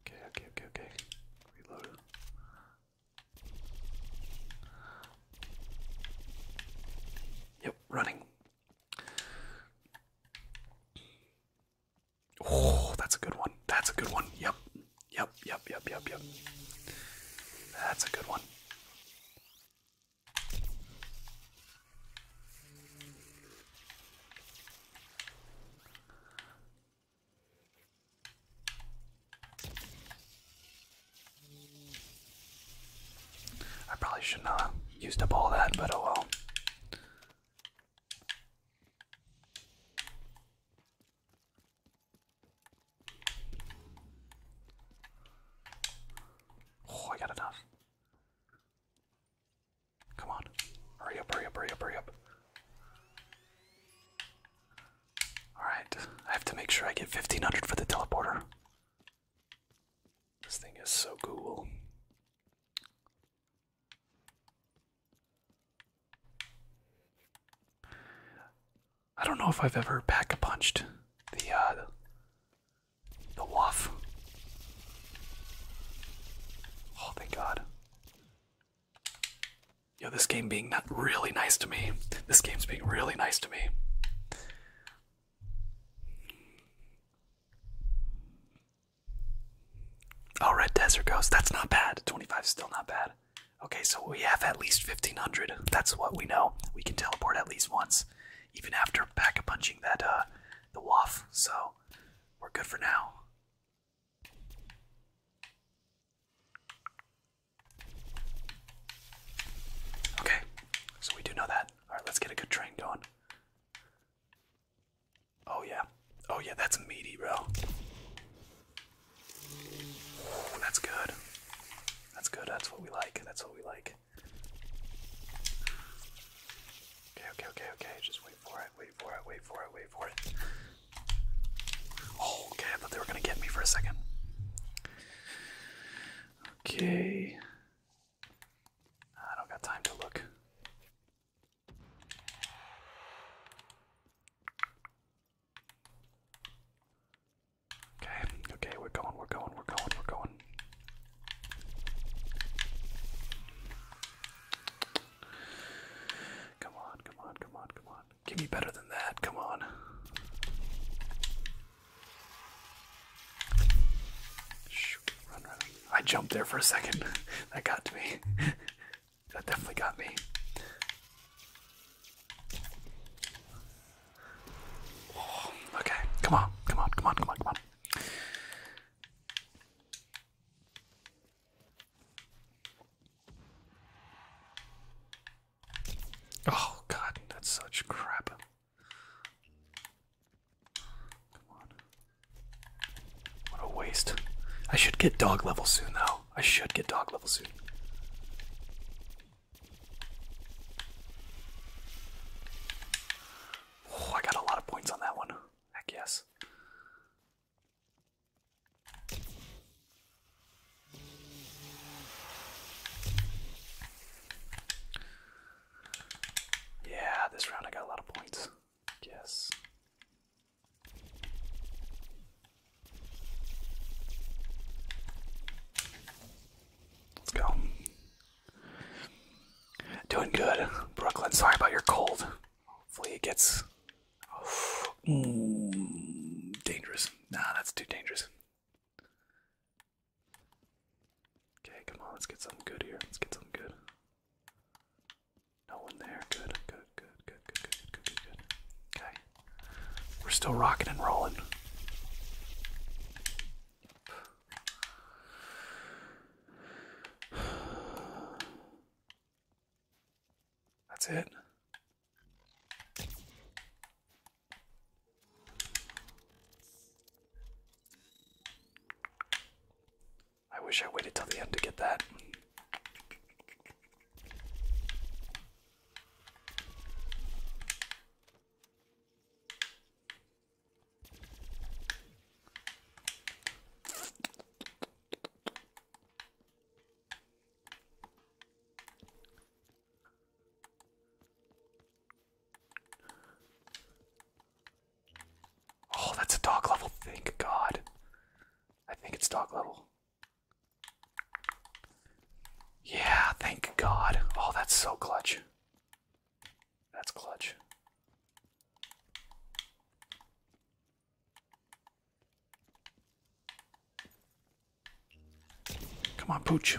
Okay, okay, okay, okay. Reload. Yep, running. Oh, that's a good one. That's a good one. Yep. Yep, yep, yep, yep, yep. That's a good one. I probably should not have used up all that, but oh well. Oh, I got enough. Come on. Hurry up, hurry up, hurry up, hurry up. Alright, I have to make sure I get 1500 for the teleporter. This thing is so cool. I don't know if I've ever pack uh, a punched the the waff. Oh thank God. Yo, this game being really nice to me. This game's being really nice to me. Oh, Red Desert Ghost. That's not bad. 25 still not bad. Okay, so we have at least 1500. That's what we know. We can teleport at least once, even after back a punching that uh the waff. So we're good for now. Okay, so we do know that. Alright, let's get a good train going. Oh, yeah. Oh, yeah, that's meaty, bro. that's good. That's good. That's what we like. That's what we like. Okay, okay, okay, okay. Just Wait for it, wait for it, wait for it, wait for it. Oh, okay, I thought they were gonna get me for a second. Okay. I don't got time to look. Okay, okay, we're going, we're going, we're going, we're going. Come on, come on, come on, come on. Give me better than that. Come on. run, run. I jumped there for a second. [LAUGHS] That got to me. [LAUGHS] that definitely got me. [SIGHS] okay, come on, come on, come on, come on, come on. Oh god, that's such crap. Come on. What a waste. I should get dog level soon though. I should get dog level soon. Oh, I got a lot of points on that one. Heck yes. Yeah, this round I got a lot of points. Yes. Let's go. Doing good, Brooklyn. Sorry about your cold. Hopefully it gets Mm, dangerous. Nah, that's too dangerous. Okay, come on, let's get something good here. Let's get something good. No one there. good, good, good, good, good, good, good, good. Okay. We're still rocking and rolling. That's it. I wish I waited till the end to get that. Oh, that's a dog level. Thank God. I think it's dog level. Yeah, thank God. Oh, that's so clutch. That's clutch. Come on, Pooch.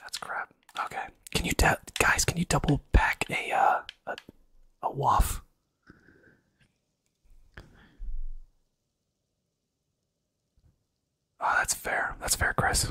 That's crap. Okay. Can you guys? Can you double pack a uh, a a waff? Oh, that's fair. That's fair, Chris.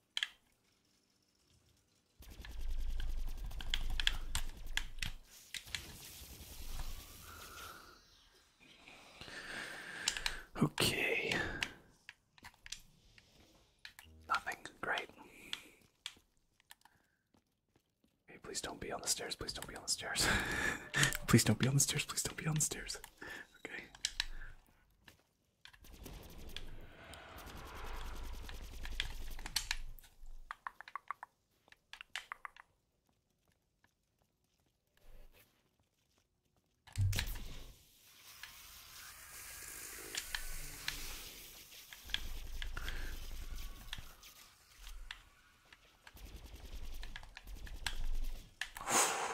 Okay. Nothing. Great. Hey, please don't be on the stairs. Please don't be on the stairs. [LAUGHS] please don't be on the stairs. Please don't be on the stairs. Okay.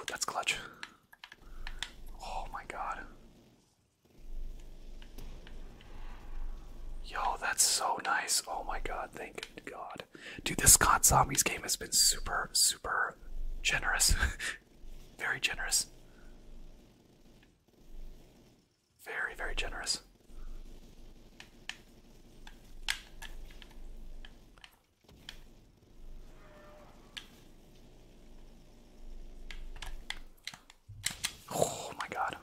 That's clutch. Oh my god. Yo, that's so nice. Oh my god, thank god. Dude, this God Zombies game has been super, super generous. [LAUGHS] very generous. Very, very generous. Oh my god.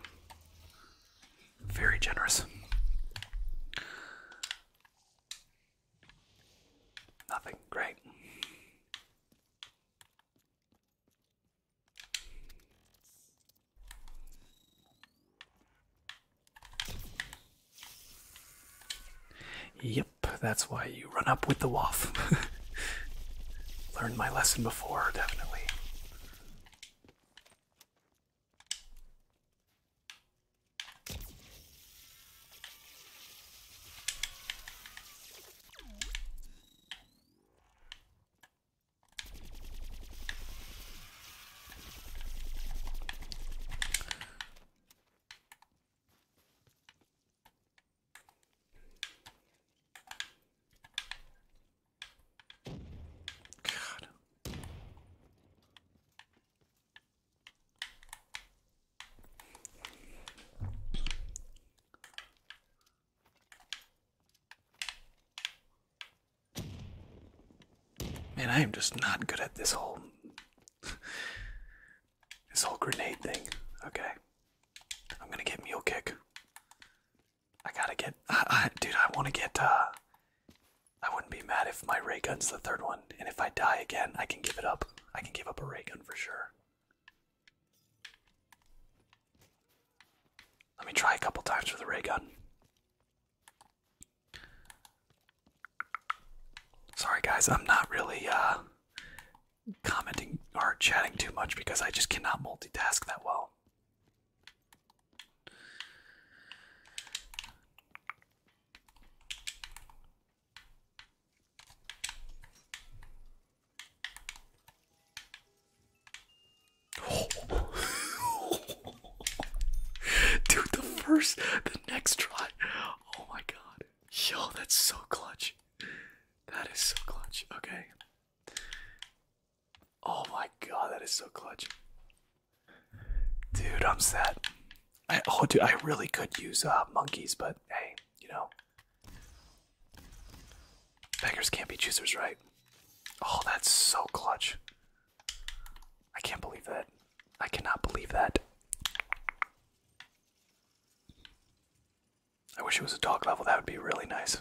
Very generous. Nothing. Great. Yep, that's why you run up with the waff. [LAUGHS] Learned my lesson before, definitely. God. Man, I am just not good at this whole [LAUGHS] this whole grenade thing. Okay. I'm gonna get mule kick. I gotta get, I, I, dude. I want to get. uh I wouldn't be mad if my ray gun's the third one, and if I die again, I can give it up. I can give up a ray gun for sure. Let me try a couple times with a ray gun. Sorry guys, I'm not really uh commenting or chatting too much because I just cannot multitask that well. [LAUGHS] Dude, the first, the next try. Oh my god. Yo, that's so clutch. That is so clutch. Okay. Oh my god, that is so clutch. Dude, I'm sad. I, oh, dude, I really could use uh, monkeys, but hey, you know. Beggars can't be choosers, right? Oh, that's so clutch. I can't believe that. I cannot believe that. I wish it was a dog level, that would be really nice.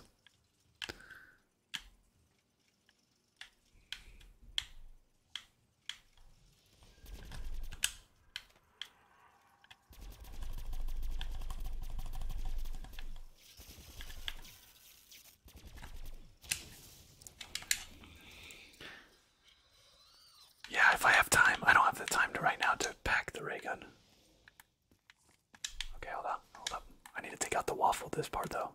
Yeah, if I have time, I don't have the time right now to pack the ray gun. Okay, hold up, hold up. I need to take out the waffle this part though.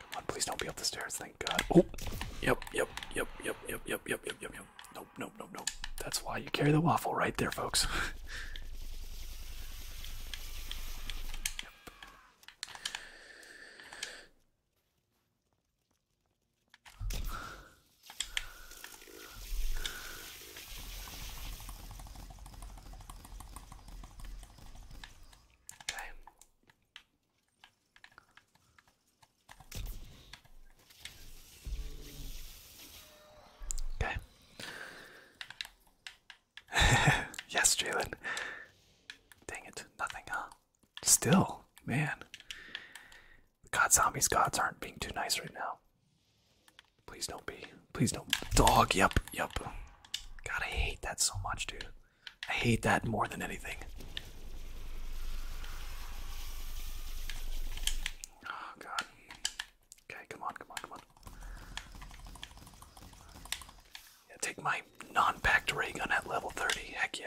Come on, please don't be up the stairs, thank God. Oh, yep, yep, yep, yep, yep, yep, yep, yep, yep, yep. Nope, nope, nope, nope. That's why you carry the waffle right there, folks. [LAUGHS] yep. Okay. Okay. [LAUGHS] yes, Jaylen. Dang it, nothing, huh? Still, man. God, zombies gods aren't being too nice right now. Please don't be. Please don't. Dog, yep, yep. God, I hate that so much, dude. I hate that more than anything. Oh, God. Okay, come on, come on, come on. Yeah, take my non packed ray gun at level 30. Heck yeah.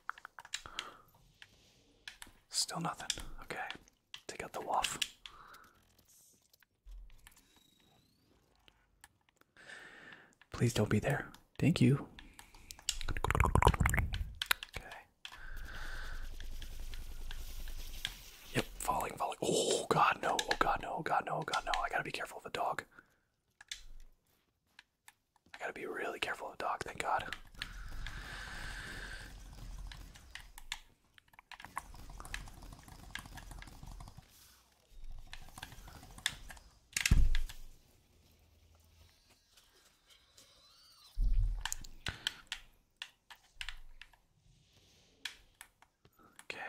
Still nothing. Okay. Take out the waff. Please don't be there. Thank you. Okay. Yep, falling, falling. Oh god no, oh god no, oh, god no, oh, god no. I gotta be careful of the dog. I gotta be really careful of the dog, thank god. Okay.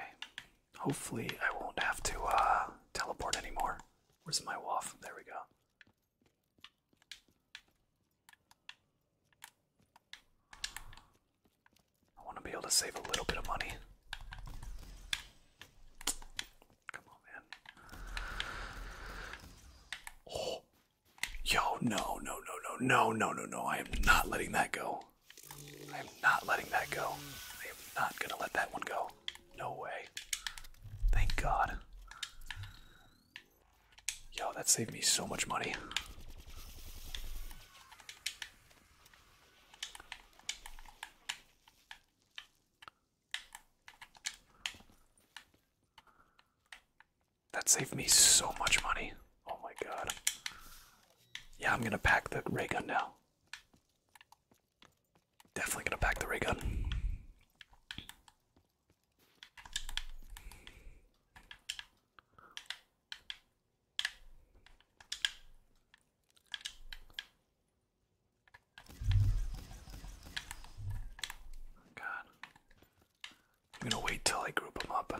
Hopefully I won't have to uh, teleport anymore. Where's my waff? There we go. I want to be able to save a little bit of money. Come on, man. Oh, yo, no, no, no, no, no, no, no, no. I am not letting that go. I am not letting that go. I am not going to let that one go. No way. Thank God. Yo, that saved me so much money. That saved me so much money. Oh my god. Yeah, I'm gonna pack the ray gun now. Definitely gonna pack the ray gun. God. I'm gonna wait till I group them up.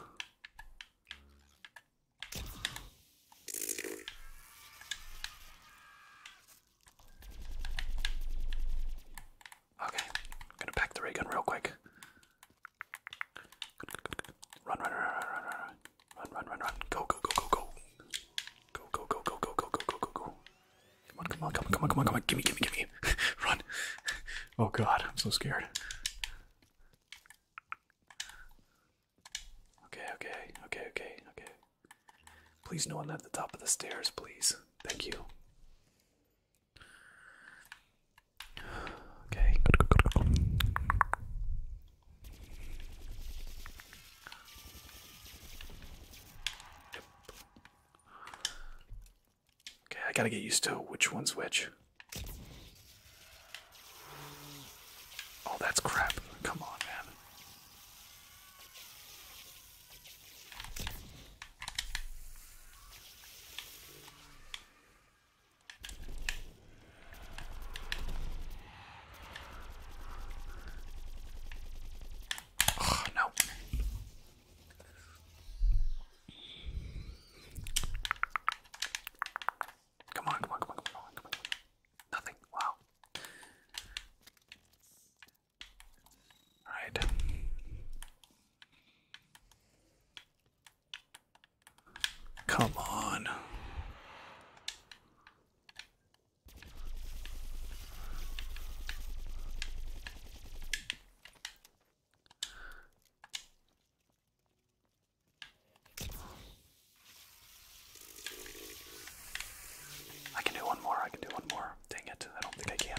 Okay, I'm gonna pack the ray gun real quick. Run, run, run, run, run, run, run, run, run, run. Go, go, go, go, go. Go, go, go, go, go, go, go, go, go, go. Come on, come on, come on, come on, come on, come on. Gimme, gimme, gimme. [LAUGHS] Run. Oh god, I'm so scared. Okay, okay, okay, okay, okay. Please no one at the top of the stairs, please. Thank you. Okay, good, good, good, good. Okay, I gotta get used to which one's which. Oh, that's crap. Come on, man. Oh, no. Come on, come on, come on, come on, come on, come on. Nothing. Wow. Alright. Come on. I can do one more. I can do one more. Dang it. I don't think I can.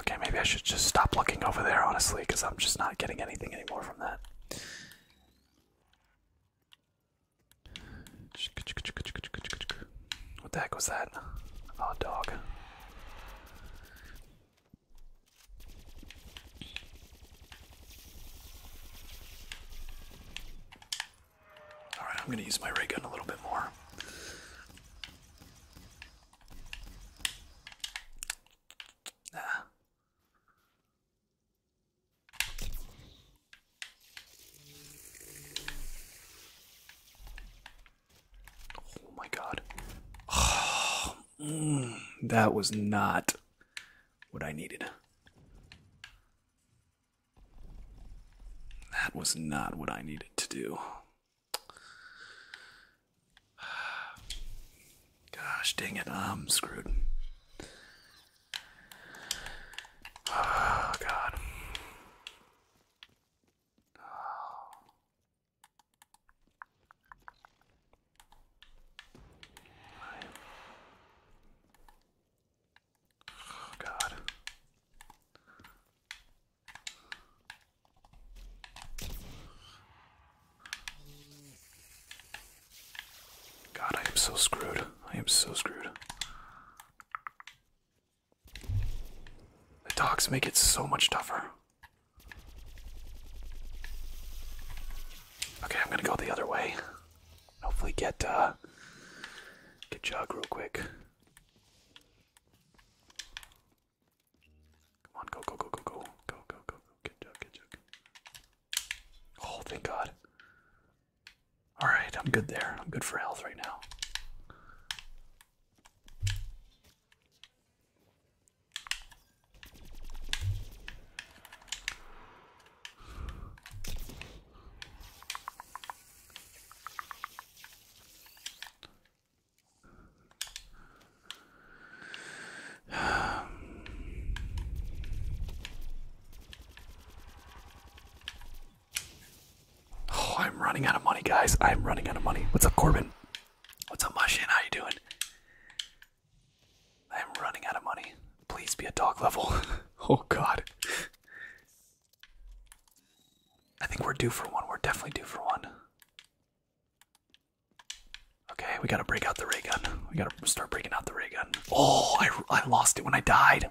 Okay, maybe I should just stop looking over there, honestly, because I'm just not getting anything anymore from that. What the heck was that? Oh, dog. Alright, I'm gonna use my ray gun a little bit more. Nah. Oh my god. [SIGHS] Mm, that was not what I needed. That was not what I needed to do. [SIGHS] Gosh dang it, I'm screwed. Oh, God. Oh. God. God, I am so screwed. I am so screwed. The dogs make it so much tougher. Okay, I'm gonna go the other way. Hopefully get uh get jog real quick. Come on, go, go, go, go, go, go, go, go, get jug, get jug. Oh, thank God. All right, I'm good there. I'm good for health right now. Oh, I'm running out of money, guys. I'm running out of money. What's up, Corbin? What's up, Mushin? How you doing? I'm running out of money. Please be a dog level. [LAUGHS] oh god. I think we're due for one. We're definitely due for one. Okay, we gotta break out the ray gun. We gotta start breaking out the ray gun. Oh, I, I lost it when I died.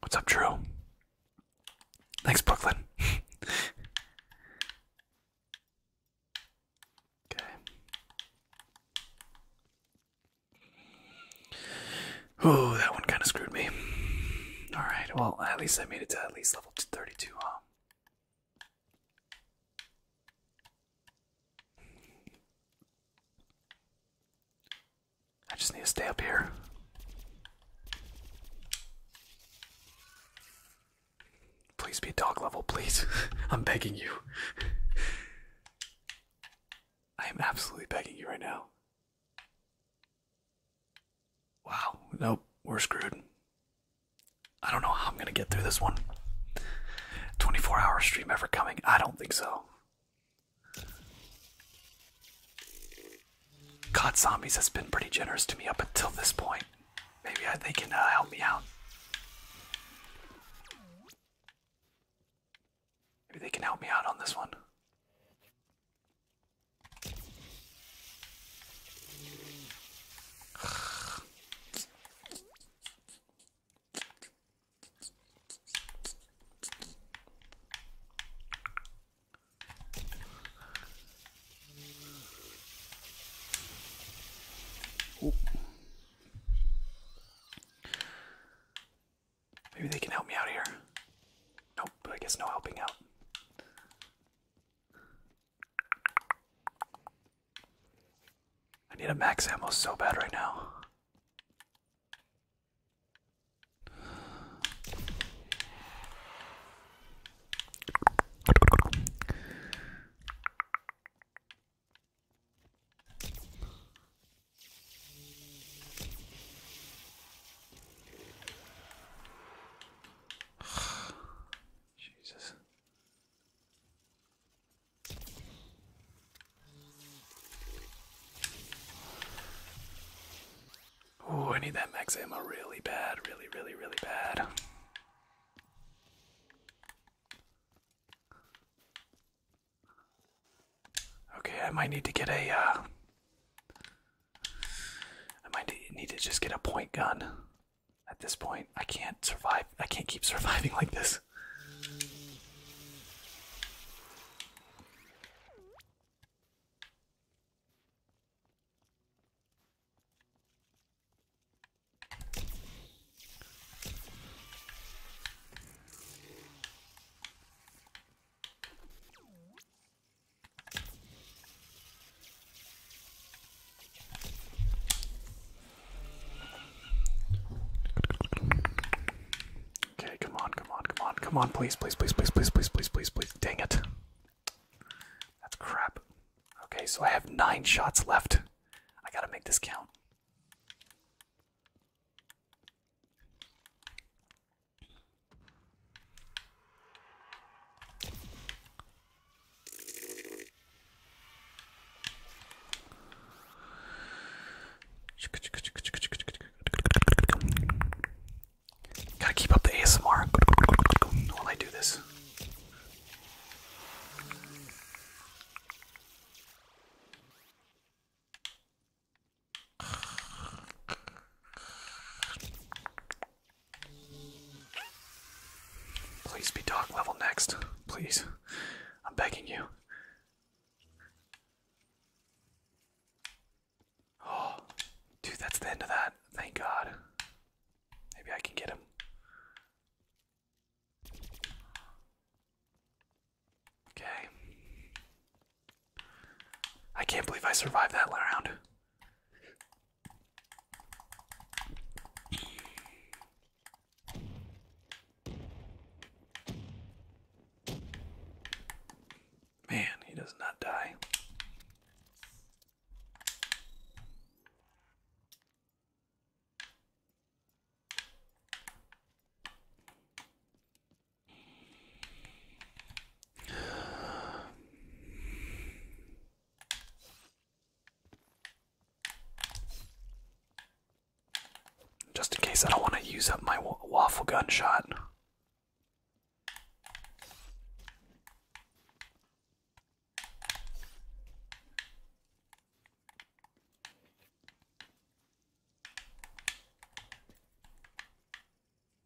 What's up, Drew? Thanks, Brooklyn. [LAUGHS] okay. Oh, that one kind of screwed me. All right, well, at least I made it to at least level 32, huh? I just need to stay up here. Please be dog level, please. [LAUGHS] I'm begging you. I am absolutely begging you right now. Wow, nope, we're screwed. I don't know how I'm gonna get through this one. 24 hour stream ever coming? I don't think so. God Zombies has been pretty generous to me up until this point. Maybe they can uh, help me out. Maybe they can help me out on this one. Maybe they can help me out here. Nope, I guess no helping out. I need a max ammo so bad right now. Jesus. [SIGHS] Oh, I need that max ammo really bad, really, really, really bad. Okay, I might need to get a. Uh, I might need to just get a point gun. At this point, I can't survive. I can't keep surviving like this. Okay, come on, come on, come on, come on, please, please, please, please, please, please, please, please, please. Dang it. That's crap. Okay, so I have nine shots left. I gotta make this count. Gotta keep up the ASMR while I do this. Please be dog level next. Please. I'm begging you. Oh, dude, that's the end of that. Thank God. Maybe I can get him. Okay. I can't believe I survived that round. Man, he does not die. Just in case I don't want to use up my waffle gun shot.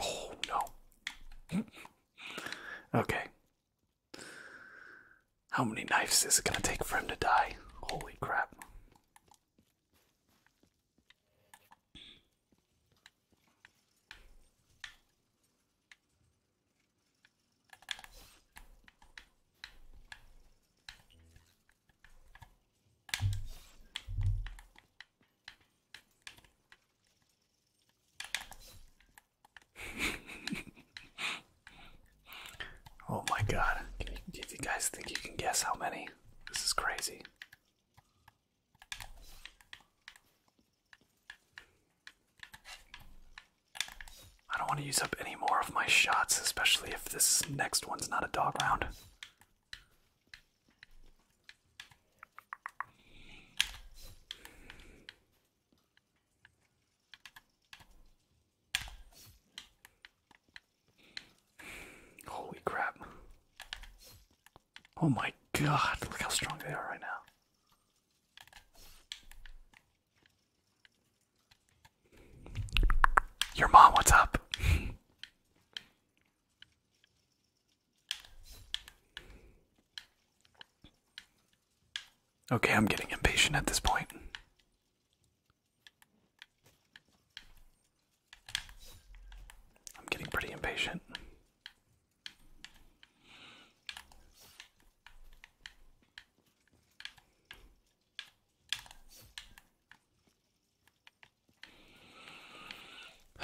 Oh no. okay. How many knives is it going to take for him to die? Holy crap. [LAUGHS] oh my god. If you guys think you can guess how many? This is crazy. I don't want to use up any more of my shots, especially if this next one's not a dog round. Holy crap. Oh my god, look how strong they are right now. Your mom, what's up? okay, I'm getting impatient at this point. I'm getting pretty impatient.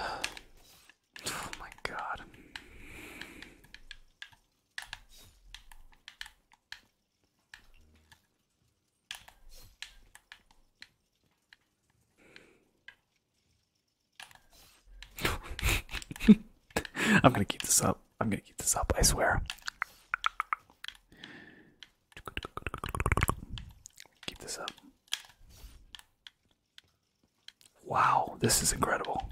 Oh my god. [LAUGHS] I'm going to keep this up. I'm gonna keep this up, I swear. Keep this up. Wow, this is incredible.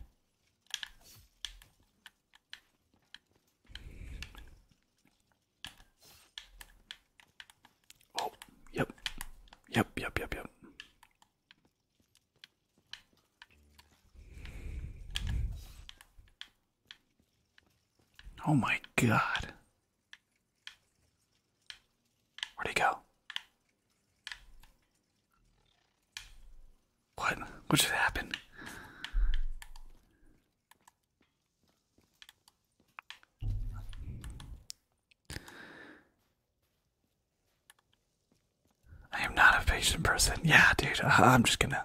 Oh, yep. Yep, yep, yep, yep. Oh my god. Where'd he go? What? What just happened? I am not a patient person. Yeah, dude. Uh, I'm just gonna.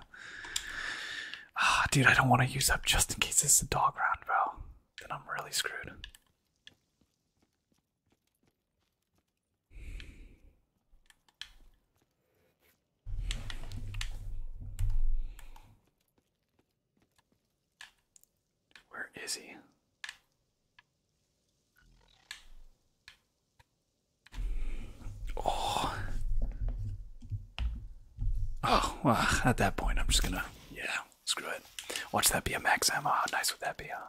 Ah, dude, I don't want to use up just in case this is a dog round, bro. Then I'm really screwed. Where is he? Oh. Oh, well, at that point, I'm just gonna, yeah, screw it. Watch that be a max ammo. Ah, How nice would that be, huh?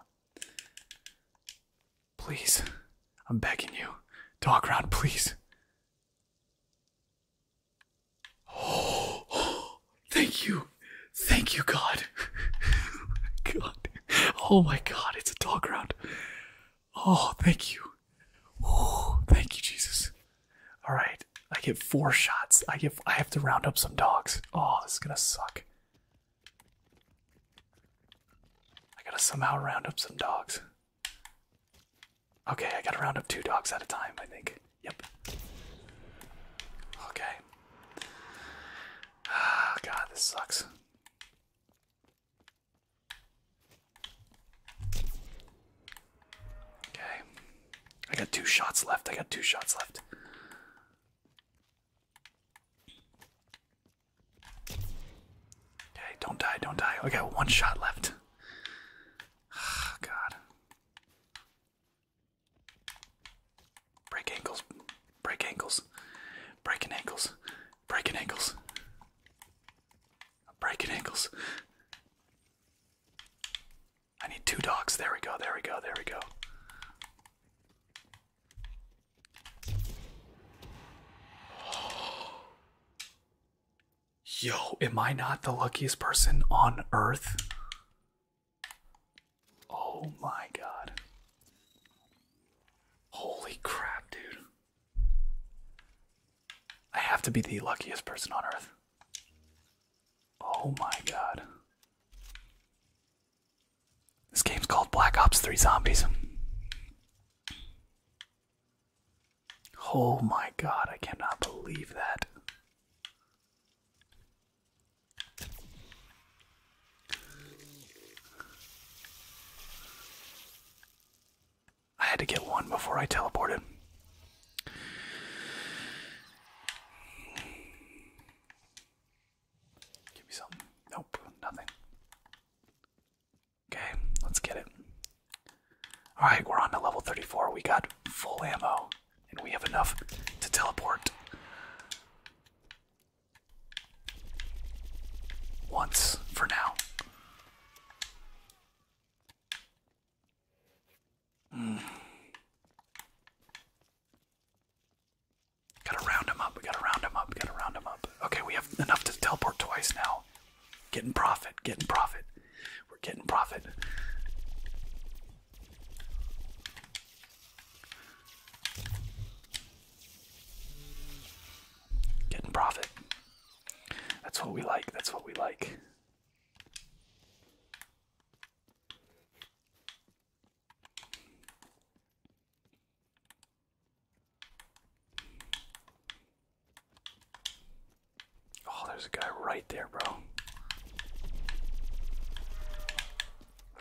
Please, I'm begging you. dog round, please. oh [GASPS] thank you. Thank you, God. [LAUGHS] God. Oh my God, it's a dog round. Oh, thank you. Ooh, thank you, Jesus. All right, I get four shots. I get. I have to round up some dogs. Oh, this is gonna suck. I gotta somehow round up some dogs. Okay, I gotta round up two dogs at a time. I think. Yep. Okay. Ah, God, this sucks. Okay. I got two shots left. I got two shots left. Okay, don't die, don't die. I got one shot left. Oh, God. Break ankles. Break ankles. Breaking ankles. Breaking ankles. Breaking ankles. I need two dogs. There we go. There we go. There we go. [GASPS] Yo, am I not the luckiest person on earth? Oh my god. Holy crap, dude. I have to be the luckiest person on earth. Oh my god. This game's called Black Ops 3 Zombies. Oh my god, I cannot believe that. I had to get one before I teleported. Give me something. Nope, nothing. Okay, let's get it. Alright, we're on to level 34. We got full ammo, and we have enough to teleport. Once for now. [SIGHS] Gotta round him up. We gotta round him up. gotta round him up. Okay, we have enough to teleport twice now. Getting profit. Getting profit. We're getting profit. Getting profit. That's what we like. That's what we like. Oh, there's a guy right there, bro.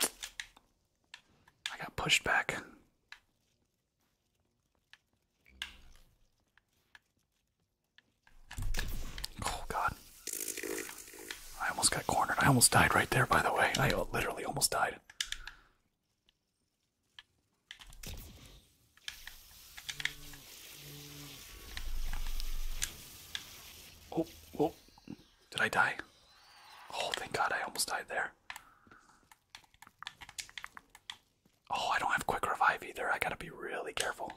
I got pushed back. Oh god. I almost got cornered. I almost died right there, by the way. I literally almost died. Oh, oh. Did I die? Oh, thank god I almost died there. Oh, I don't have quick revive either. I gotta be really careful.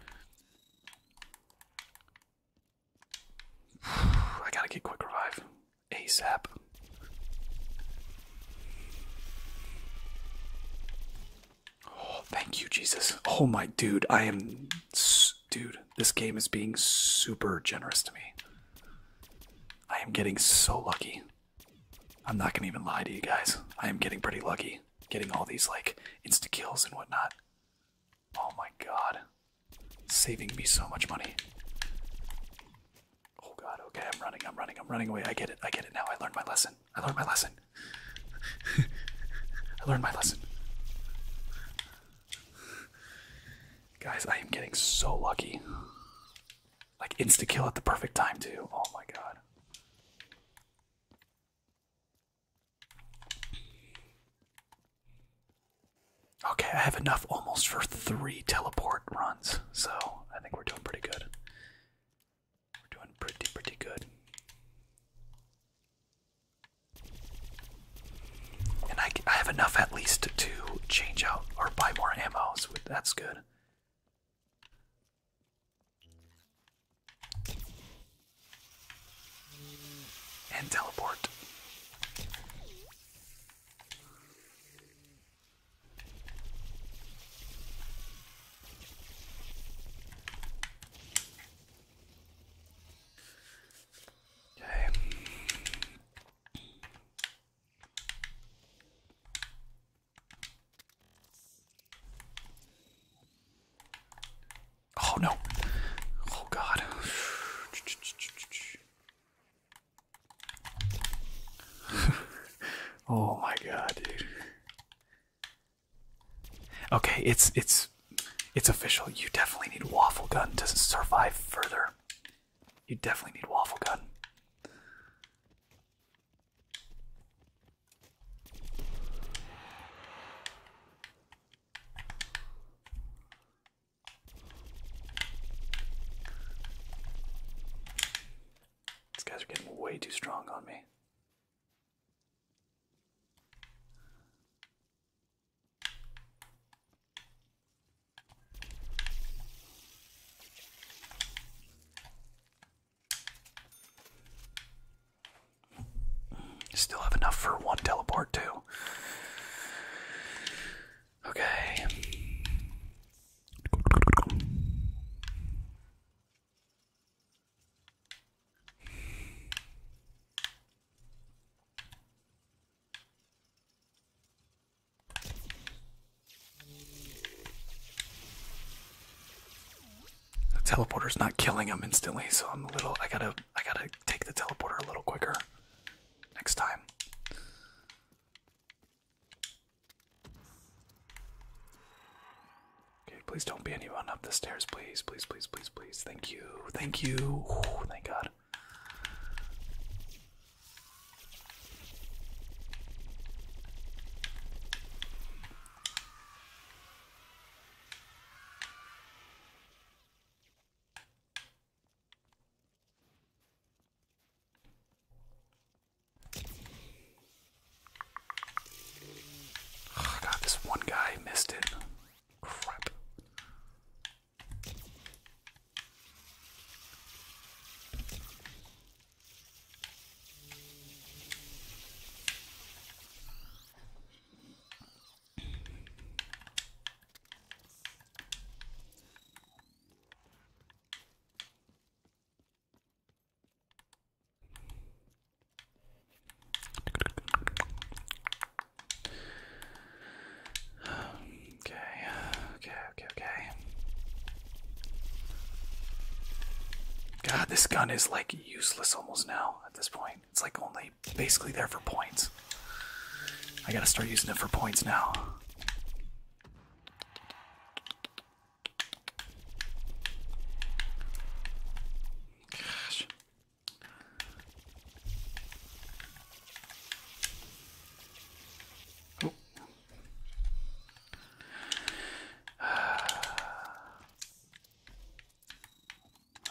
[SIGHS] I gotta get quick revive ASAP. Oh, thank you, Jesus. Oh, my dude, I am. Dude, this game is being super generous to me. I am getting so lucky. I'm not gonna even lie to you guys. I am getting pretty lucky getting all these like insta kills and whatnot. Oh my god. Saving me so much money. Oh god, okay, I'm running, I'm running, I'm running away. I get it, I get it now. I learned my lesson. I learned my lesson. [LAUGHS] I learned my lesson. Guys, I am getting so lucky. Like insta kill at the perfect time too. Oh my god. Okay, I have enough almost for three teleport runs, so I think we're doing pretty good. doing pretty, pretty good. And I, I have enough at least to change out or buy more ammo, so that's good. And teleport. Okay. Oh no. Oh god. [LAUGHS] oh my god, dude. Okay, it's it's it's official. You definitely need waffle gun to survive further. You definitely need waffle gun. These guys are getting way too strong on me. Still have enough for one teleport, too. Okay. The teleporter's not killing him instantly, so I'm a little. I gotta. I gotta take the teleporter a little quicker next time. Okay, please don't be anyone up the stairs, please, please, please, please, please. Thank you, thank you. thank God. Oh god, this one guy missed it. Crap. Okay, okay, okay, okay. God, this gun is like useless almost now at this point. It's like only basically there for points. I gotta start using it for points now.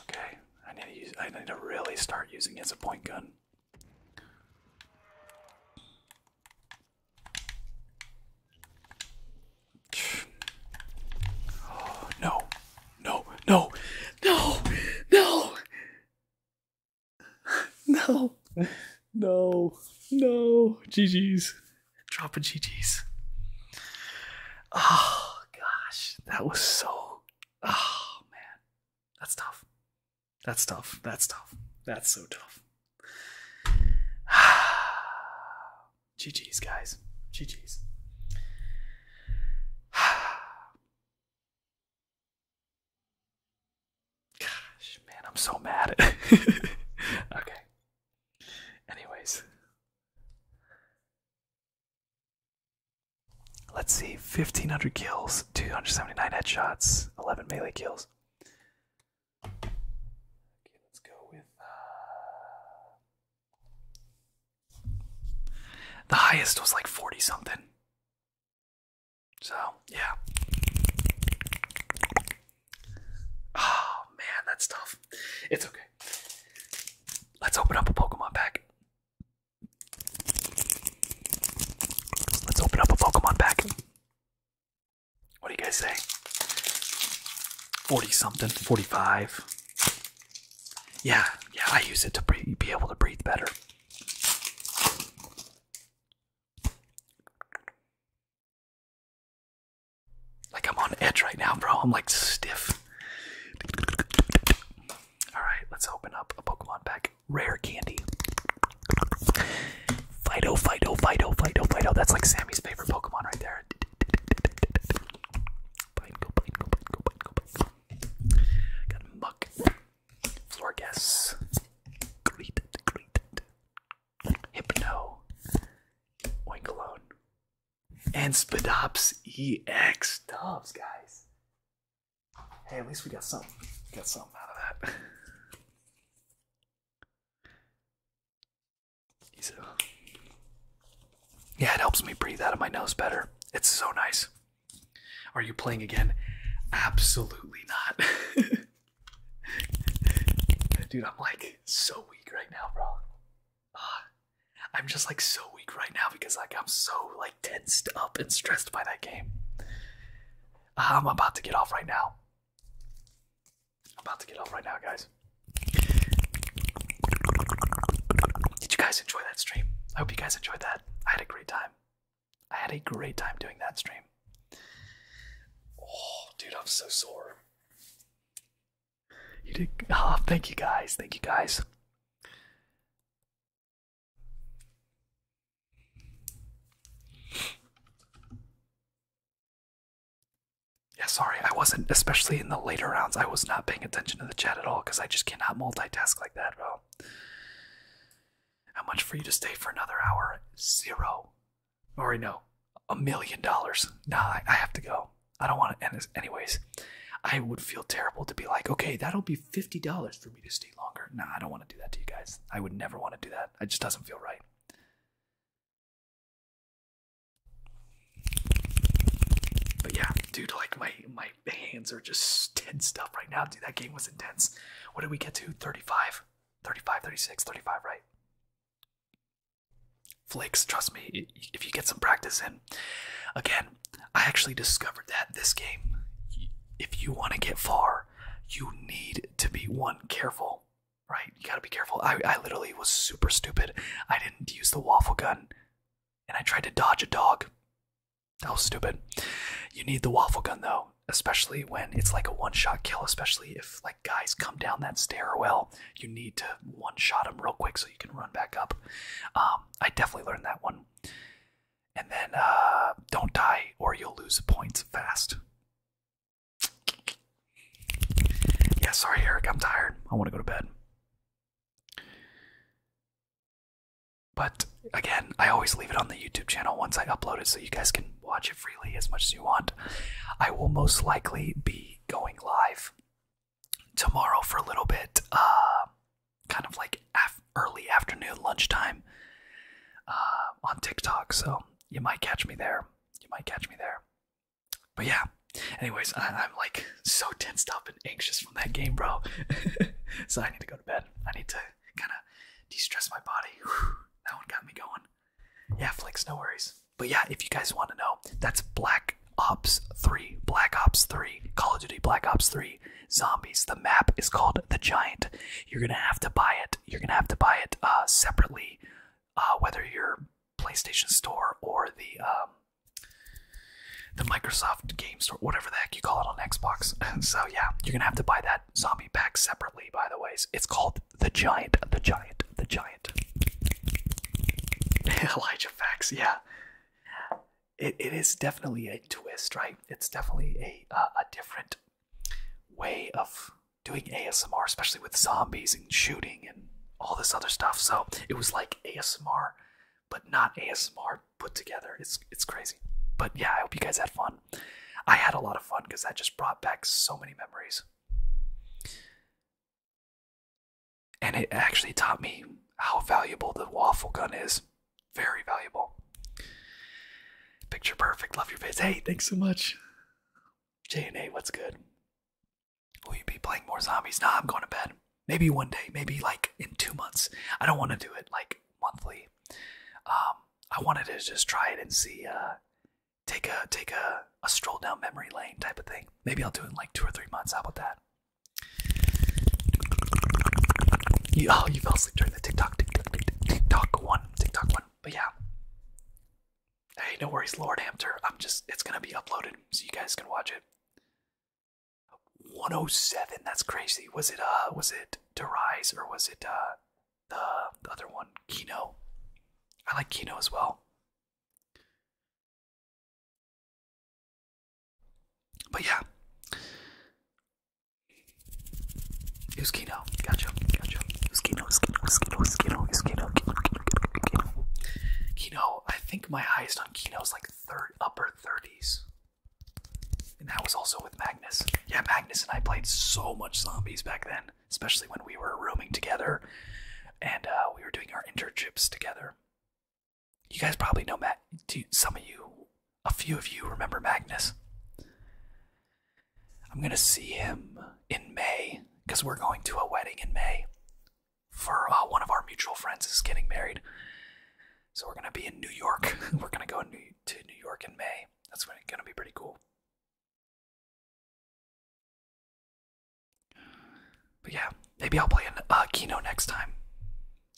Okay, I need to use. I need to really start using it as a point gun. Oh, [SIGHS] no, no, no, no, no, [LAUGHS] no, no, no. GG's. Drop dropping GGs. Oh gosh, that was so. Oh man, that's tough. That's tough. That's tough. That's so tough. GGs, [SIGHS] guys. GGs. [SIGHS] Gosh, man, I'm so mad. [LAUGHS] okay, Anyways, let's see 1500 kills, 279 headshots, 11 melee kills. Okay, let's go with uh, the highest was like 40 something. So, yeah. Oh man, that's tough. It's okay. Let's open up a Pokemon pack. Let's open up a Pokemon pack. What do you guys say? 40 something, 45. Yeah, yeah, I use it to be able to breathe better. Like I'm on edge right now, bro. I'm like stiff. Alright, let's open up a Pokemon pack. Rare candy. Fido, Fido, Fido, Fido, Fido. That's like Sammy's favorite Pokemon right there. Pineco, Pineco, Pineco, Pineco, Pineco. Got a muck. Florgas. Greeted, greeted. Hypno. Oinkalone and Spadops EX dubs, guys. Hey, at least we got something. got something out of that. yeah, it helps me breathe out of my nose better. It's so nice. Are you playing again? Absolutely not. [LAUGHS] Dude, I'm like so weak right now, bro. I'm just like so weak right now because like I'm so like tensed up and stressed by that game. Uh, I'm about to get off right now. I'm about to get off right now, guys. Did you guys enjoy that stream? I hope you guys enjoyed that. I had a great time. I had a great time doing that stream. Oh, dude, I'm so sore. You did. Oh, thank you guys. Thank you guys. Yeah, sorry, I wasn't, especially in the later rounds, I was not paying attention to the chat at all because I just cannot multitask like that, bro. How much for you to stay for another hour? Zero. Or no, a million dollars. Nah, I have to go. I don't want to end this. Anyways, I would feel terrible to be like, okay, that'll be $50 for me to stay longer. Nah, I don't want to do that to you guys. I would never want to do that. It just doesn't feel right. But yeah, dude, like my my hands are just tensed up right now. Dude, that game was intense. What did we get to? 35? 35, 36, 35, right? Flakes, Trust me, if you get some practice in. Again, I actually discovered that this game, if you want to get far, you need to be one careful, right? You gotta be careful. I, literally was super stupid. I didn't use the waffle gun, and I tried to dodge a dog. That was stupid. You need the waffle gun though, especially when it's like a one-shot kill, especially if like guys, come down that stairwell. You need to one shot them real quick so you can run back up. Um, I definitely learned that one. And then uh, don't die or you'll lose points fast. Yeah, sorry, Eric. I'm tired. I want to go to bed. But again, I always leave it on the YouTube channel once I upload it so you guys can watch it freely as much as you want. I will most likely be going live tomorrow for a little bit, uh, kind of like early afternoon, lunchtime, uh, on TikTok. So you might catch me there. You might catch me there. But yeah. Anyways, I am like so tensed up and anxious from that game, bro. [LAUGHS] so I need to go to bed. I need to kind of de-stress my body. that one got me going. Yeah, flicks, no worries. But yeah, if you guys want to know, that's Black Ops 3, Black Ops 3, Call of Duty Black Ops 3, Zombies. The map is called The Giant. You're going to have to buy it. You're going to have to buy it uh, separately, uh, whether you're PlayStation Store or the um, the Microsoft Game Store, whatever the heck you call it on Xbox. [LAUGHS] so yeah, you're going to have to buy that zombie pack separately, by the way. It's called The Giant, The Giant the giant. [LAUGHS] Elijah Facts, yeah. It, it is definitely a twist, right? It's definitely a, uh, a different way of doing ASMR, especially with zombies and shooting and all this other stuff. So it was like ASMR, but not ASMR put together. It's, it's crazy. But yeah, I hope you guys had fun. I had a lot of fun because that just brought back so many memories. And it actually taught me how valuable the waffle gun is. Very valuable. Picture perfect. Love your face. Hey, thanks so much. and JNA, what's good? Will you be playing more zombies? Nah, I'm going to bed. Maybe one day, maybe like in two months. I don't want to do it like monthly. Um, I wanted to just try it and see, uh, take a take a, a stroll down memory lane type of thing. Maybe I'll do it in like two or three months. How about that? oh, you fell asleep during the TikTok, TikTok, TikTok one, TikTok one. But yeah, hey, no worries, Lord Hamter. I'm just, it's gonna be uploaded so you guys can watch it. 107. That's crazy. Was it uh, was it To Rise or was it uh, the other one, Kino? I like Kino as well. But yeah. Uskino, gotcha, gotcha. Uskino, Uskino, Uskino, Uskino, Uskino, Kino, Kino, Kino, Kino. Kino, I think my highest on Kino is like third, upper 30s. And that was also with Magnus. Yeah, Magnus and I played so much zombies back then, especially when we were rooming together and uh, we were doing our internships together. You guys probably know Matt. Some of you, a few of you remember Magnus. I'm going to see him in May because we're going to a wedding in May for uh, one of our mutual friends is getting married. So we're going to be in New York. [LAUGHS] we're going to go to New York in May. That's going to be pretty cool. But yeah, maybe I'll play an uh, Kino next time.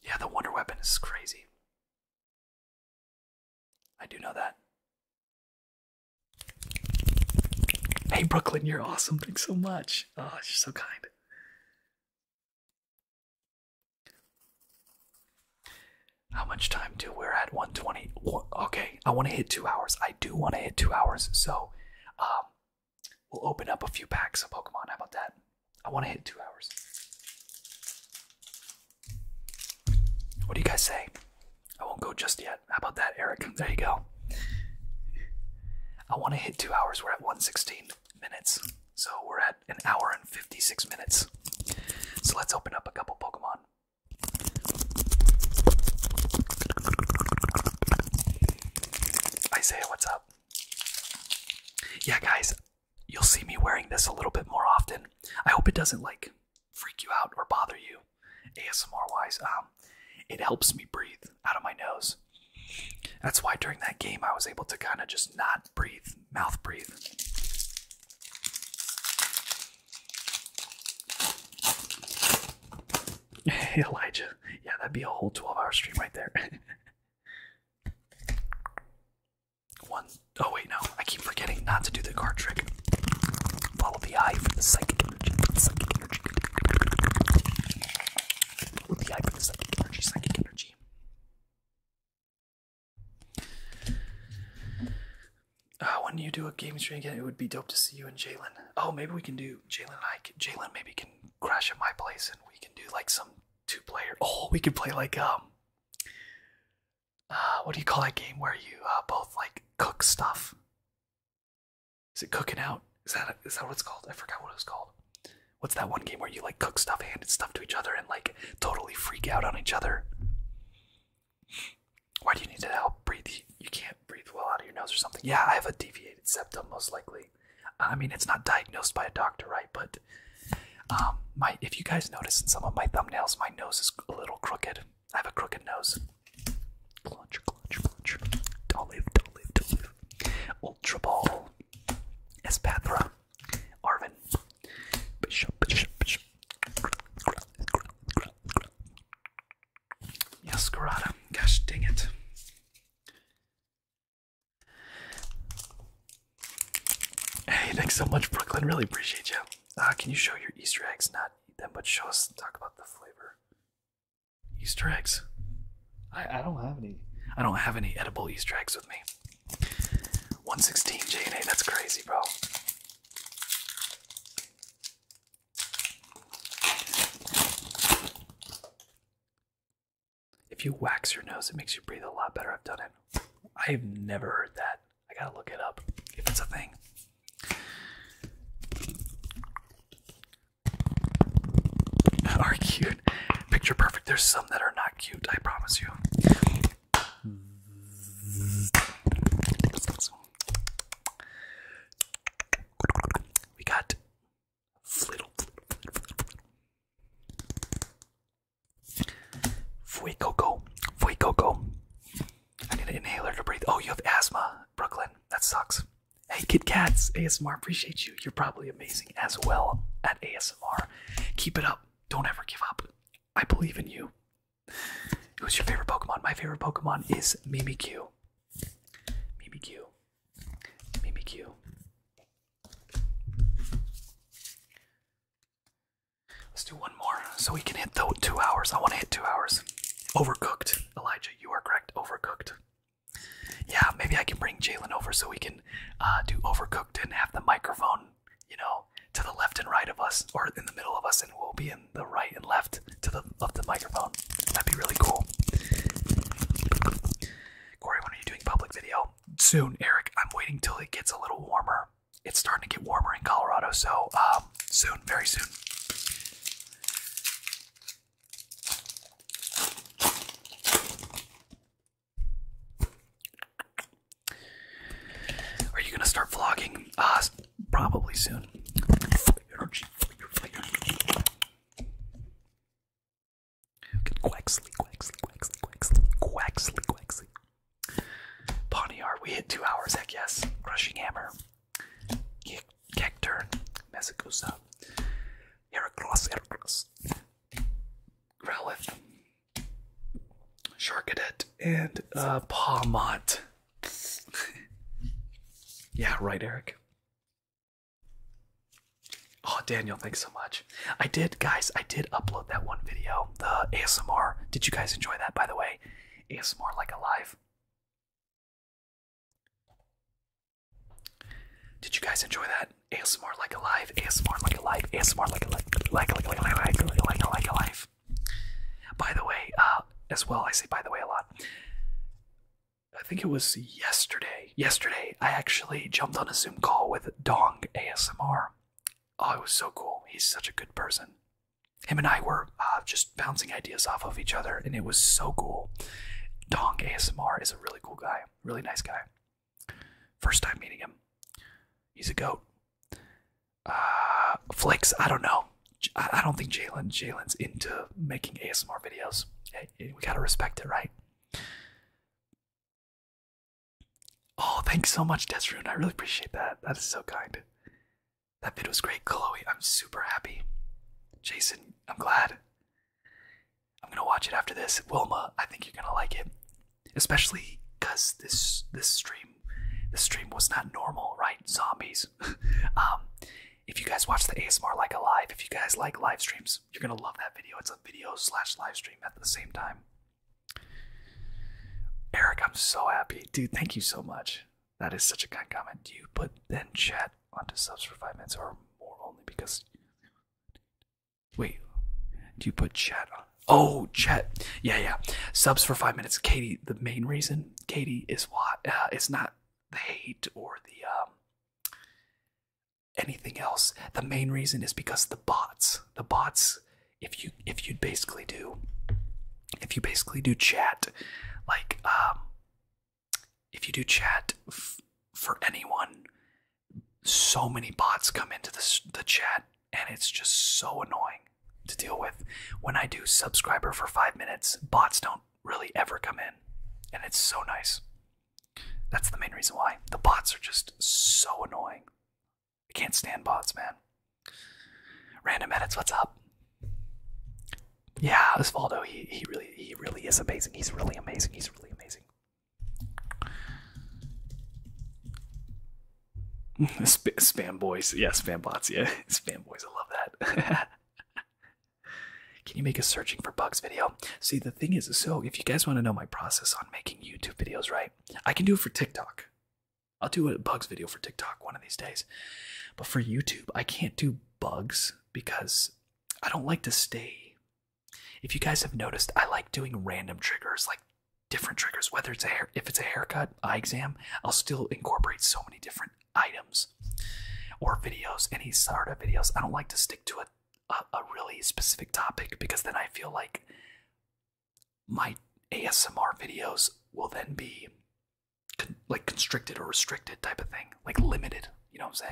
Yeah, the Wonder Weapon is crazy. I do know that. Hey, Brooklyn, you're awesome. Thanks so much. Oh, you're so kind. How much time do we're at 120? Okay, I want to hit two hours. I do want to hit two hours. So, um, We'll open up a few packs of Pokemon. How about that? I want to hit two hours. What do you guys say? I won't go just yet. How about that, Eric? There you go. I want to hit two hours. We're at 116 minutes. So we're at an hour and 56 minutes. So let's open up a couple Pokemon. Isaiah, what's up? Yeah, guys, you'll see me wearing this a little bit more often. I hope it doesn't like freak you out or bother you ASMR wise. Um, it helps me breathe out of my nose. That's why during that game I was able to kind of just not breathe, mouth breathe. Hey, [LAUGHS] Elijah, yeah, that'd be a whole 12 hour stream right there. [LAUGHS] Oh wait, no, I keep forgetting not to do the card trick. Follow the eye for the psychic energy, psychic energy. Follow the eye for the psychic energy, psychic energy. Uh, when you do a game stream again, it would be dope to see you and Jalen. Oh, maybe we can do Jalen and I. Jalen maybe can crash at my place and we can do like some two player. [LAUGHS] Oh, we could play like, um, uh, what do you call that game where you uh, both like cook stuff? Is it cooking out? Is that is that what it's called? I forgot what it was called. What's that one game where you like cook stuff, and stuff to each other, and like totally freak out on each other? Why do you need to help breathe? You can't breathe well out of your nose or something. Yeah, I have a deviated septum, most likely. I mean, it's not diagnosed by a doctor, right? But um, my if you guys notice in some of my thumbnails, my nose is a little crooked. I have a crooked nose. Clutch, clutch, clutch. Don't live, Ultra Ball, Espathra, Arvin, Bishop, Bishop, Bishop. Yes, Garada. Gosh dang it. Hey, thanks so much, Brooklyn. Really appreciate you. Uh, can you show your Easter eggs? Not eat them, but show us talk about the flavor. Easter eggs? I, I don't have any. I don't have any edible Easter eggs with me. 116 and A. that's crazy, bro. If you wax your nose, it makes you breathe a lot better. I've done it. I've never heard that. I gotta look it up if it's a thing. [LAUGHS] Are cute. Picture perfect. There's some that are not cute, I promise you. We got Flittle, flittle, flittle, Coco. I need an inhaler to breathe. Oh, you have asthma, Brooklyn. That sucks. Hey, Kit Cats, ASMR, appreciate you. You're probably amazing as well at ASMR. Keep it up. Don't ever give up. I believe in you. was your favorite Pokemon? My favorite Pokemon is Mimikyu. Mimikyu. BBQ. Let's do one more so we can hit the two hours. I want to hit two hours. Overcooked. Elijah, you are correct. Overcooked. Yeah, maybe I can bring Jalen over so we can uh, do overcooked and have the microphone, you know, to the left and right of us, or in the middle of us, and we'll be in the right and left to the of the microphone. That'd be really cool. Corey, when are you doing public video? Soon, Eric. I'm waiting till it gets a little warmer. It's starting to get warmer in Colorado, so um, soon, very soon. Are you gonna start vlogging? Uh, probably soon. Quaxley, Quaxley, Quaxley, Quaxley, Quaxley, Quaxley. Ponyard, we hit two hours, heck yes. Crushing Hammer, Cacturn, Mesagusa, Heracross, Heracross, Growlithe, Sharkadet, and uh, Pawmont. [LAUGHS] yeah, right, Eric. Oh, Daniel, thanks so much. I did, guys, I did upload that one video, the ASMR. Did you guys enjoy that, by the way? ASMR like alive. Did you guys enjoy that? ASMR like alive, ASMR like alive, ASMR like alive, like like like like like like like alive. By the way, uh, as well, I say by the way a lot. I think it was yesterday. Yesterday, I actually jumped on a Zoom call with Dong ASMR. Oh, it was so cool. He's such a good person. Him and I were uh, just bouncing ideas off of each other, and it was so cool. Dong ASMR is a really cool guy, really nice guy. First time meeting him. He's a goat. Uh, Flicks, I don't know. I don't think Jalen Jalen's into making ASMR videos. we gotta respect it, right? Oh, thanks so much, Desrune. I really appreciate that. That is so kind. That video was great, Chloe. I'm super happy. Jason, I'm glad. I'm gonna watch it after this. Wilma, I think you're gonna like it. Especially because this this stream this stream was not normal, right? Zombies. [LAUGHS] um if you guys watch the ASMR like alive, if you guys like live streams, you're gonna love that video. It's a video slash live stream at the same time. Eric, I'm so happy, dude. Thank you so much. That is such a kind comment. Do You put then chat onto subs for five minutes or more only because. Wait, do you put chat on? Oh, chat. Yeah, yeah. Subs for five minutes. Katie, the main reason, Katie, is what? Uh, it's not the hate or the um, anything else. The main reason is because the bots. The bots, if you if you basically do if you basically do chat, like um if you do chat for anyone, so many bots come into the the chat and it's just so annoying to deal with. When I do subscriber for 5 minutes, bots don't really ever come in and it's so nice. That's the main reason why. The bots are just so annoying. I can't stand bots, man. Random edits, what's up? Yeah, Osvaldo, he he really he really is amazing. He's really amazing. He's really amazing. [LAUGHS] spam boys, yeah, spam bots, yeah, [LAUGHS] spam boys. I love that. [LAUGHS] Can you make a searching for bugs video? See, the thing is, so if you guys want to know my process on making YouTube videos, right? I can do it for TikTok. I'll do a bugs video for TikTok one of these days. But for YouTube, I can't do bugs because I don't like to stay. If you guys have noticed, I like doing random triggers, like different triggers, whether it's a hair, if it's a haircut, eye exam, I'll still incorporate so many different items or videos, any sort of videos. I don't like to stick to a a, really specific topic because then I feel like my ASMR videos will then be like constricted or restricted type of thing, like limited. You know what I'm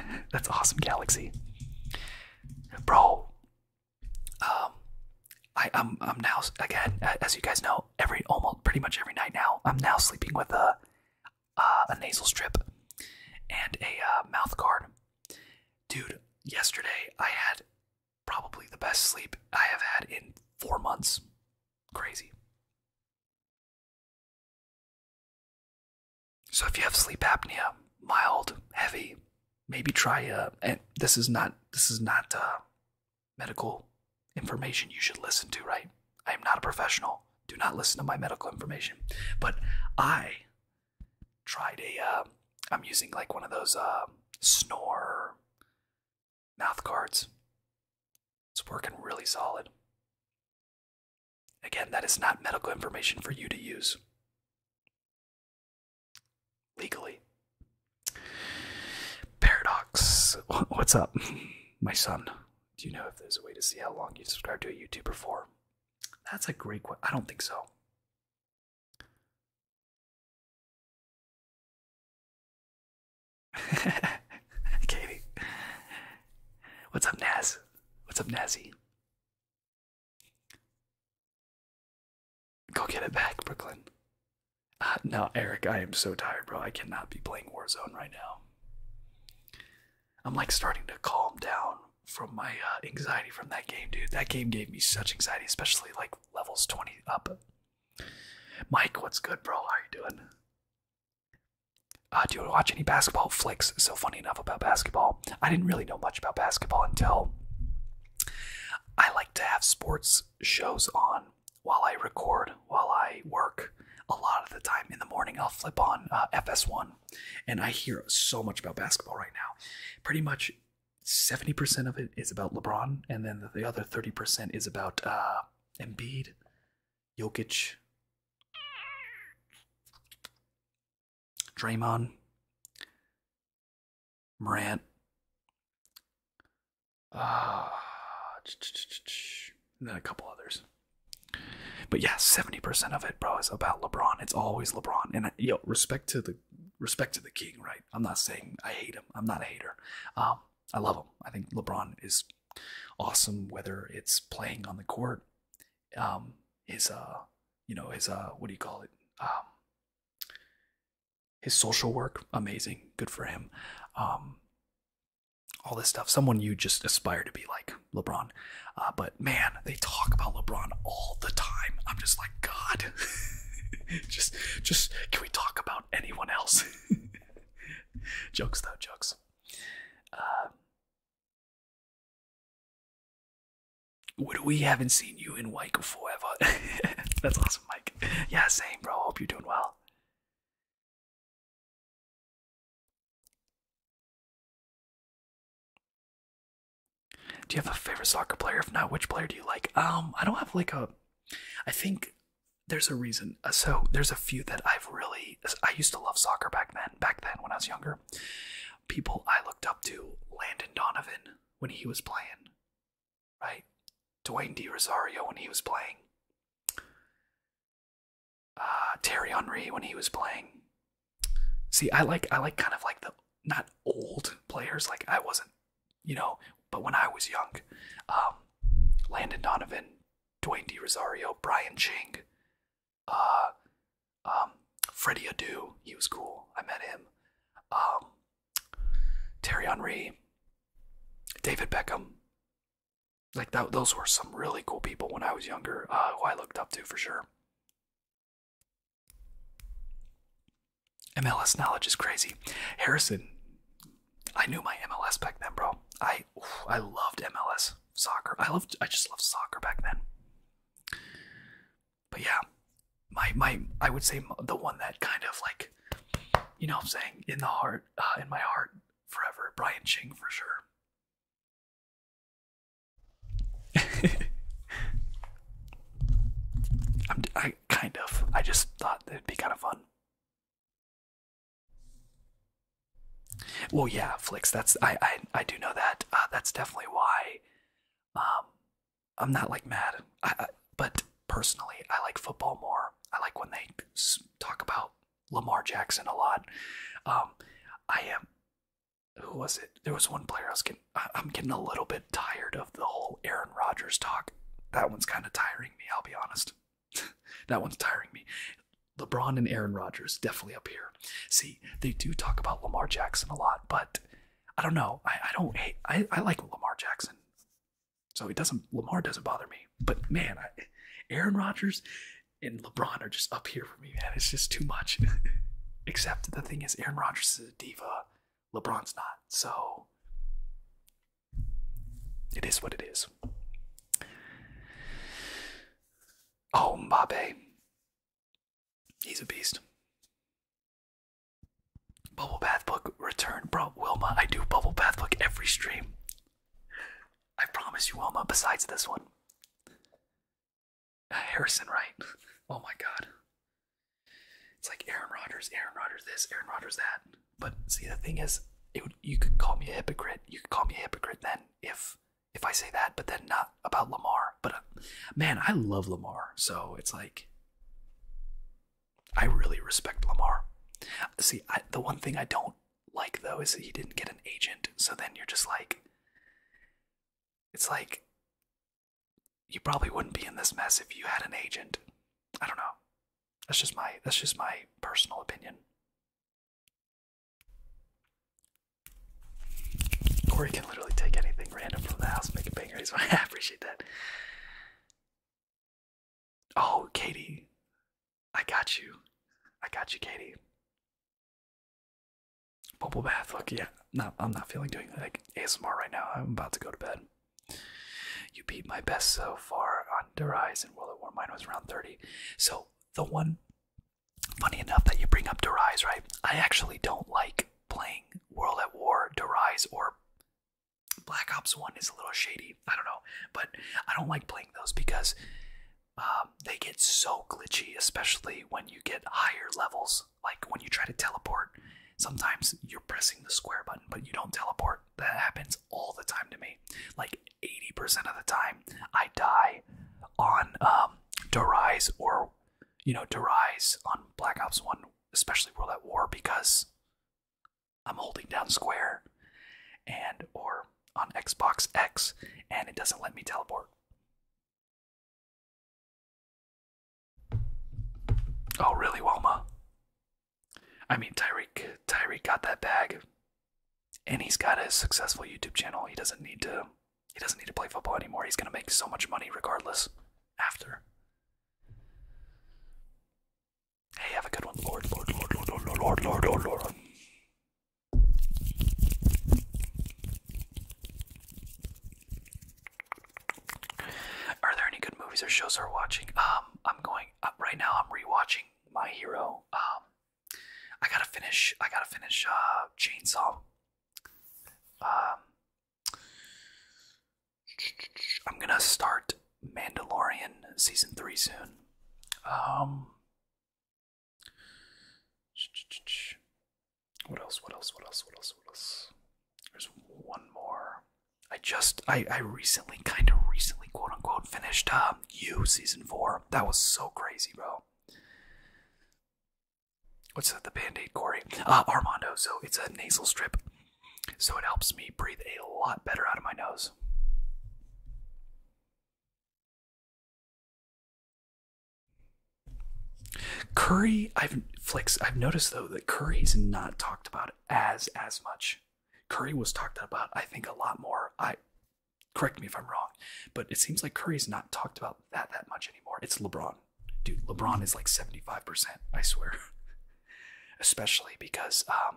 saying? [LAUGHS] That's awesome, Galaxy, bro. Um, I'm I'm now again, as you guys know, every almost pretty much every night now, I'm now sleeping with a uh, a nasal strip, and a uh, mouth guard. Dude, yesterday I had probably the best sleep I have had in four months. Crazy. So if you have sleep apnea, mild, heavy, maybe try uh and this is not this is not uh, medical information you should listen to, right? I am not a professional. Do not listen to my medical information. But I tried ai am um, using like one of those um, snore mouth guards. It's working really solid. Again, that is not medical information for you to use legally. Paradox. [LAUGHS] What's up, my son? do you know if there's a way to see how long you've subscribed to a YouTuber for? That's a great question. I don't think so. [LAUGHS] Katie. What's up, Naz? What's up, Nazzy? Go get it back, Brooklyn. Uh, no, Eric, I am so tired, bro. I cannot be playing Warzone right now. I'm like starting to calm down from my uh, anxiety from that game, dude. That game gave me such anxiety, especially like levels 20 up. Mike, what's good, bro? How you doing? Uh, do you watch any basketball flicks? So funny enough about basketball, I didn't really know much about basketball until I like to have sports shows on while I record, while I work a lot of the time in the morning, I'll flip on uh, FS1, and I hear so much about basketball right now. Pretty much 70% of it is about LeBron, and then the other 30% is about uh, Embiid, Jokic, Draymond, Morant. Ah, and then a couple others. But yeah, seventy percent of it, bro, is about LeBron. It's always LeBron. And I, know, respect to the respect to the king, right? I'm not saying I hate him. I'm not a hater. Um, I love him. I think LeBron is awesome, whether it's playing on the court, um, his uh, you know, his uh, what do you call it? Um, his social work, amazing, good for him. Um, all this stuff. Someone you just aspire to be like LeBron. Uh, but man, they talk about LeBron all the time. I'm just like, God, [LAUGHS] just, just can we talk about anyone else? [LAUGHS] jokes though, jokes. Uh, what we haven't seen you in white forever. [LAUGHS] That's awesome, Mike. Yeah, same, bro. Hope you're doing well. Do you have a favorite soccer player? If not, which player do you like? Um, I don't have like a. I think there's a reason. Uh, so there's a few that I've really. I used to love soccer back then. Back then when I was younger, people I looked up to: Landon Donovan when he was playing, right? Dwayne D. Rosario when he was playing. Uh, Terry Henri when he was playing. See, I like I like kind of like the not old players. Like I wasn't, you know, but when I was young, um, Landon Donovan, Dwayne D. Rosario, Brian Ching, uh, um, Freddie Adu. He was cool. I met him. Um, Terry Henri, David Beckham. Like that, those were some really cool people when I was younger, uh, who I looked up to for sure. MLS knowledge is crazy. Harrison, I knew my MLS back then, bro. I I loved MLS soccer. I loved I just loved soccer back then. But yeah, my my I would say the one that kind of like, you know, I'm saying in the heart, uh, in my heart forever. Brian Ching for sure. [LAUGHS] I'm, I kind of. I just thought it'd be kind of fun. Well, yeah, Flicks. That's I. I, I do know that. Uh, that's definitely why. Um, I'm not like mad. I, I, but personally, I like football more. I like when they talk about Lamar Jackson a lot. Um, I am. Who was it? There was one player I was getting. I'm getting a little bit tired of the whole Aaron Rodgers talk. That one's kind of tiring me. I'll be honest. [LAUGHS] that one's tiring me. LeBron and Aaron Rodgers definitely up here. See, they do talk about Lamar Jackson a lot, but I don't know. I, don't I, I like Lamar Jackson, so it doesn't. Lamar doesn't bother me. But man, Aaron Rodgers and LeBron are just up here for me, man. It's just too much. [LAUGHS] Except the thing is, Aaron Rodgers is a diva. LeBron's not. So it is what it is. Oh, Mbappe. He's a beast. Bubble Bath Book return. Bro, Wilma, I do Bubble Bath Book every stream. I promise you, Wilma, besides this one. Harrison Wright. oh my God. It's like Aaron Rodgers, Aaron Rodgers this, Aaron Rodgers that. But see, the thing is, you could call me a hypocrite. You could call me a hypocrite then if if I say that, but then not about Lamar. But uh, man, I love Lamar, so it's like I really respect Lamar. See, the one thing I don't like though is he didn't get an agent, so then you're just like it's like you probably wouldn't be in this mess if you had an agent. I don't know. That's just my that's just my personal opinion. Corey can literally take anything random from the house, make a banger. [LAUGHS] I appreciate that. Oh, Katie, I got you. I got you, Katie. Bubble bath. Look, yeah, no, I'm not feeling doing like ASMR right now. I'm about to go to bed. You beat my best so far on the and World at War. Mine was around 30. So the one funny enough that you bring up Derise, right? I actually don't like playing World at War, Derise, or Black Ops 1 is a little shady. I don't know. But I don't like playing those because um, they get so glitchy, especially when you get higher levels. Like when you try to teleport, sometimes you're pressing the square button, but you don't teleport. That happens all the time to me. Like 80% of the time, I die on um, Derize or, you know, Derize on Black Ops 1, especially World at War, because I'm holding down square and or on Xbox X and it doesn't let me teleport. Oh, really, Wilma? I mean, Tyreek. Tyreek got that bag, and he's got a successful YouTube channel. He doesn't need to. He doesn't need to play football anymore. He's gonna make so much money regardless. After. Hey, have a good one, Lord, Lord, Lord, Lord, Lord, Lord, Lord, Lord, are there any good movies or shows are watching? Um, I'm going uh, right now. I'm rewatching My Hero. Um, I gotta finish. I gotta finish uh, Chainsaw. Um, I'm gonna start Mandalorian season three soon. Um, [SNIFFS] What else? What else? What else? What else? What else? There's one more. I just I I recently kind of recently quote unquote finished um you season four. That was so crazy, bro. What's that? The band aid, Corey? Uh, Armando. So it's a nasal strip, so it helps me breathe a lot better out of my nose. Curry, I've noticed though that Curry's not talked about as as much. Curry was talked about, I think, a lot more. I correct me if I'm wrong, but it seems like Curry's not talked about that that much anymore. It's LeBron, dude. LeBron is like seventy five percent. I swear. [LAUGHS] Especially because, um,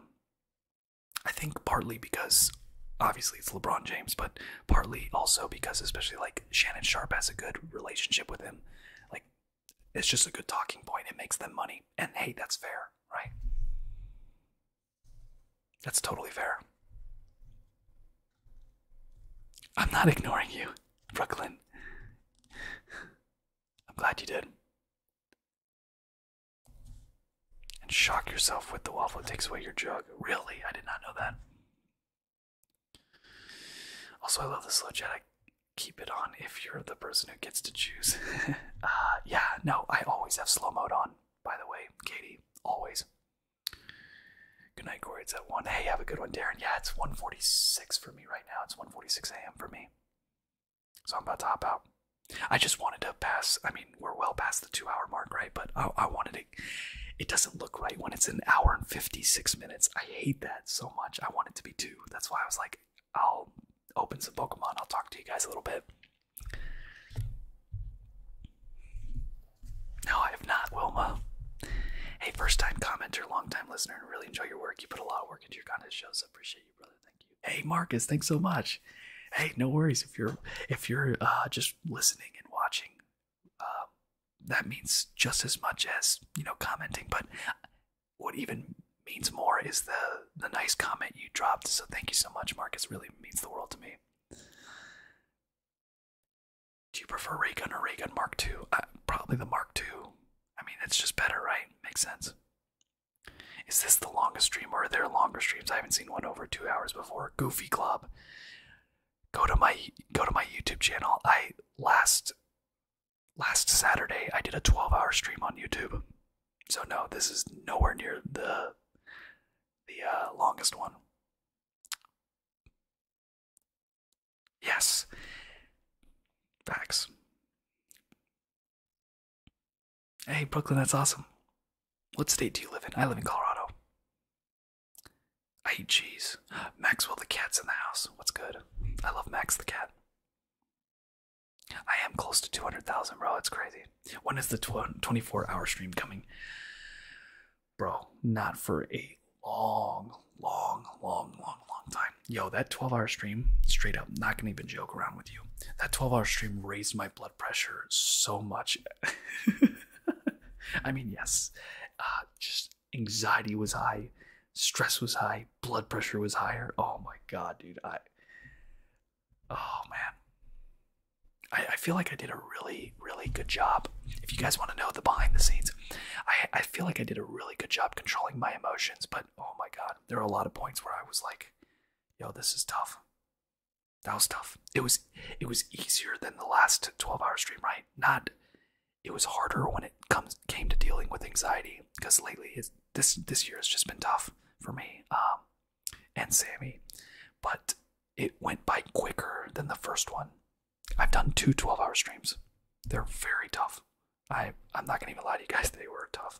I think partly because obviously it's LeBron James, but partly also because especially like Shannon Sharp has a good relationship with him. Like it's just a good talking point. It makes them money. And hey, that's fair, right? That's totally fair. I'm not ignoring you, Brooklyn. I'm glad you did. And shock yourself with the waffle that takes away your jug. Really? I did not know that. Also, I love the slow chat. I keep it on if you're the person who gets to choose. [LAUGHS] uh, yeah, no, I always have slow mode on, by the way, Katie. Always. Good night, Corey. It's at 1. Hey, have a good one, Darren. Yeah, it's one forty-six for me right now. It's one forty-six a.m. for me. So I'm about to hop out. I just wanted to pass. I mean, we're well past the two hour mark, right? But I wanted to it doesn't look right when it's an hour and 56 minutes. I hate that so much. I want it to be two. That's why I was like, I'll open some Pokemon. I'll talk to you guys a little bit. No, I have not, Wilma. Hey, first time commenter, long time listener, and really enjoy your work. You put a lot of work into your kind of shows. appreciate you, brother. Thank you. Hey, Marcus, thanks so much. Hey, no worries if you're if you're uh, just listening and watching um, that means just as much as you know commenting but what even means more is the the nice comment you dropped so thank you so much marcus really means the world to me do you prefer raygun or raygun mark ii uh, probably the mark ii i mean it's just better right makes sense is this the longest stream or are there longer streams i haven't seen one over two hours before goofy club go to my go to my YouTube channel. I last last Saturday I did a 12-hour stream on YouTube. So no, this is nowhere near the the uh, longest one. Yes. Facts. Hey, Brooklyn, that's awesome. What state do you live in? I live in Colorado. I eat cheese. Maxwell the cat's in the house. What's good? I love Max the cat. I am close to 200,000, bro. That's crazy. When is the 24 hour stream coming? Bro, not for a long, long, long, long, long time. Yo, that 12 hour stream, straight up, not gonna even joke around with you. That 12 hour stream raised my blood pressure so much. [LAUGHS] [LAUGHS] I mean, yes, uh, just anxiety was high, stress was high, blood pressure was higher. Oh my god, dude! I, oh man, I, I feel like I did a really, really good job. If you guys want to know the behind the scenes, I, I feel like I did a really good job controlling my emotions. But oh my god, there are a lot of points where I was like, "Yo, this is tough." That was tough. It was it was easier than the last 12 hour stream, right? Not it was harder when it comes came to dealing with anxiety because lately it's, this this year has just been tough for me um, and Sammy, but it went by quicker than the first one. I've done two 12 hour streams. They're very tough. I I'm not gonna even lie to you guys, they were tough.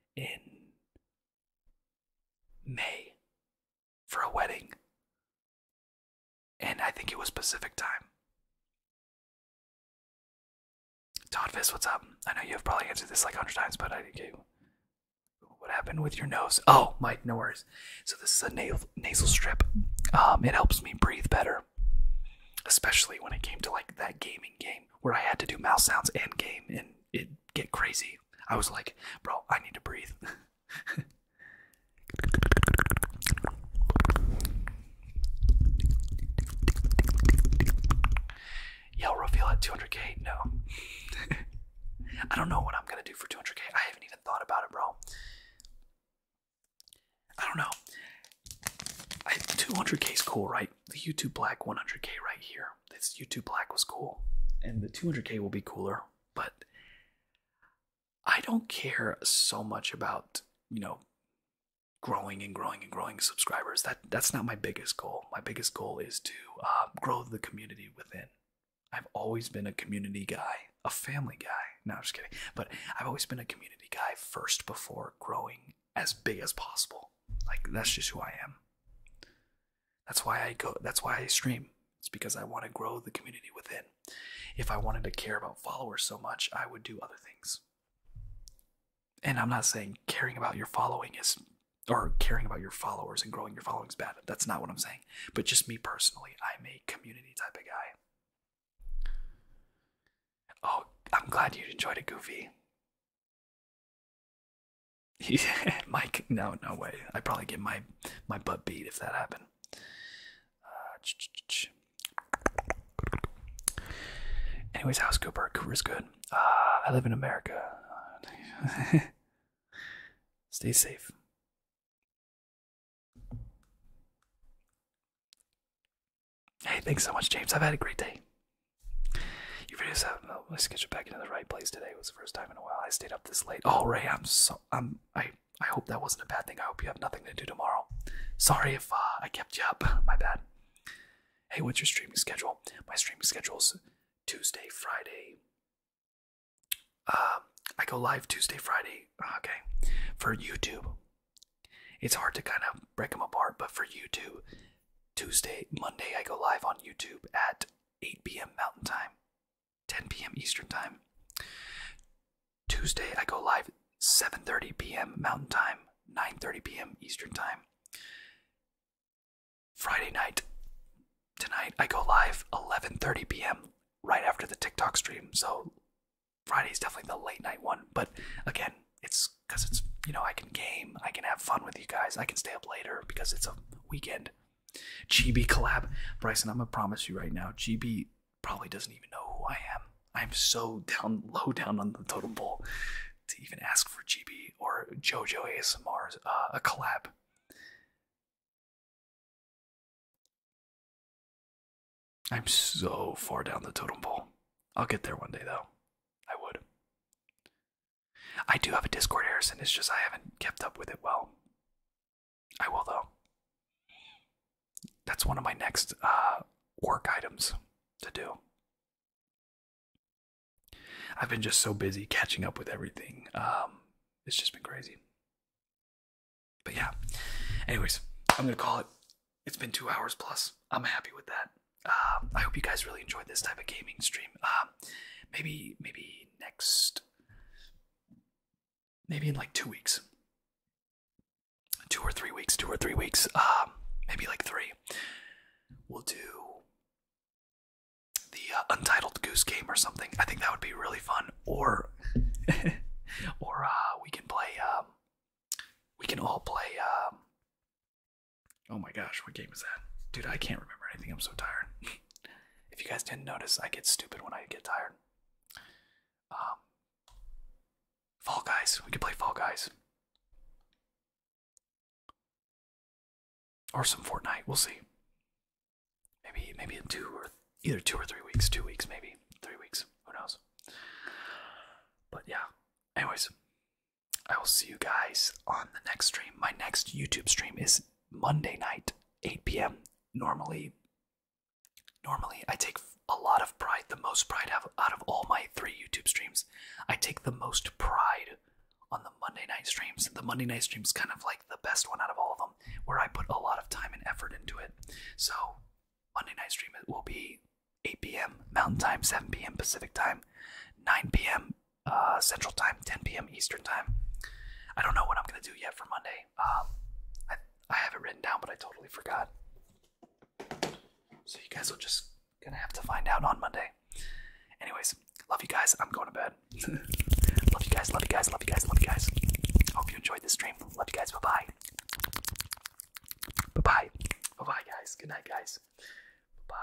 in May for a wedding. And I think it was Pacific time. Todd Fist, what's up? I know you've probably answered this like 100 times, but I did you. What happened with your nose? Oh, Mike, no worries. So, this is a nasal, nasal strip. Um, it helps me breathe better, especially when it came to like that gaming game where I had to do mouse sounds and game and it get crazy. I was like, bro, I need to breathe. [LAUGHS] Yo, reveal at 200k? No. [LAUGHS] I don't know what I'm gonna do for 200k. I haven't even thought about it, bro. I don't know. 200k is cool, right? The YouTube Black 100k right here. This YouTube Black was cool, and the 200K will be cooler, but I don't care so much about, you know, growing and growing and growing subscribers. That That's not my biggest goal. My biggest goal is to uh, grow the community within. I've always been a community guy, a family guy. No, I'm just kidding. But I've always been a community guy first before growing as big as possible. Like that's just who I am. That's why I go that's why I stream. It's because I want to grow the community within. If I wanted to care about followers so much, I would do other things. And I'm not saying caring about your following is or caring about your followers and growing your following is bad. That's not what I'm saying. But just me personally, I'm a community type of guy. Oh, I'm glad you enjoyed it, Goofy. [LAUGHS] Mike, no, no way. I'd probably get my my butt beat if that happened. Uh, anyways, how's Cooper? Cooper's good. Uh, I live in America. [LAUGHS] Stay safe. Hey, thanks so much, James. I've had a great day. You really just Let oh, my schedule back into the right place today. It was the first time in a while I stayed up this late. Oh Ray, I'm so I'm I I hope that wasn't a bad thing. I hope you have nothing to do tomorrow. Sorry if uh, I kept you up. My bad. Hey, what's your streaming schedule? My streaming schedule is Tuesday, Friday. Um, I go live Tuesday, Friday. Ah, okay, for YouTube. It's hard to kind of break them apart, but for YouTube, Tuesday, Monday, I go live on YouTube at 8 p.m. Mountain Time, 10 p.m. Eastern Time. Tuesday, I go live 7:30 p.m. Mountain Time, 9:30 p.m. Eastern Time. Friday night, tonight I go live 11:30 p.m. right after the TikTok stream. So Friday is definitely the late night one, but again, it's because it's you know I can game, I can have fun with you guys, I can stay up later because it's a weekend. GB collab, Bryson. I'm gonna promise you right now, GB probably doesn't even know who I am. I'm so down low down on the totem pole to even ask for GB or JoJo ASMR uh, a collab. I'm so far down the totem pole. I'll get there one day though. I would. I do have a Discord, Harrison. It's just I haven't kept up with it well. I will, though. That's one of my next uh, work items to do. I've been just so busy catching up with everything. Um, it's just been crazy. But yeah. Anyways, I'm going to call it. It's been two hours plus. I'm happy with that. Um, I hope you guys really enjoyed this type of gaming stream. Um, maybe maybe next, maybe in like two weeks, two or three weeks, two or three weeks, um, maybe like three. We'll do the uh, Untitled Goose Game or something. I think that would be really fun. Or [LAUGHS] or uh, we can play. Um, we can all play. Um, Oh my gosh, what game is that? Dude, I can't remember anything. I'm so tired. [LAUGHS] if you guys didn't notice, I get stupid when I get tired. Um, Fall Guys. We could play Fall Guys. Or some Fortnite. We'll see. Maybe maybe in two or either two or three weeks. Two weeks maybe. Three weeks. Who knows? But yeah. Anyways, I will see you guys on the next stream. My next YouTube stream is Monday night, 8 p.m. Normally, normally I take a lot of pride, the most pride out of all my three YouTube streams. I take the most pride on the Monday night streams. The Monday night stream's kind of like the best one out of all of them, where I put a lot of time and effort into it. So Monday night stream it will be 8 p.m. Mountain Time, 7 p.m. Pacific Time, 9 p.m. Uh, Central Time, 10 p.m. Eastern Time. I don't know what I'm gonna do yet for Monday. Um, I I have not written down, but I totally forgot. So you guys will just gonna have to find out on Monday. Anyways, love you guys. I'm going to bed. [LAUGHS] love you guys. Love you guys. Love you guys. Love you guys. Hope you enjoyed this stream. Love you guys. Bye bye. Bye bye. Bye bye, guys. Good night, guys. Bye.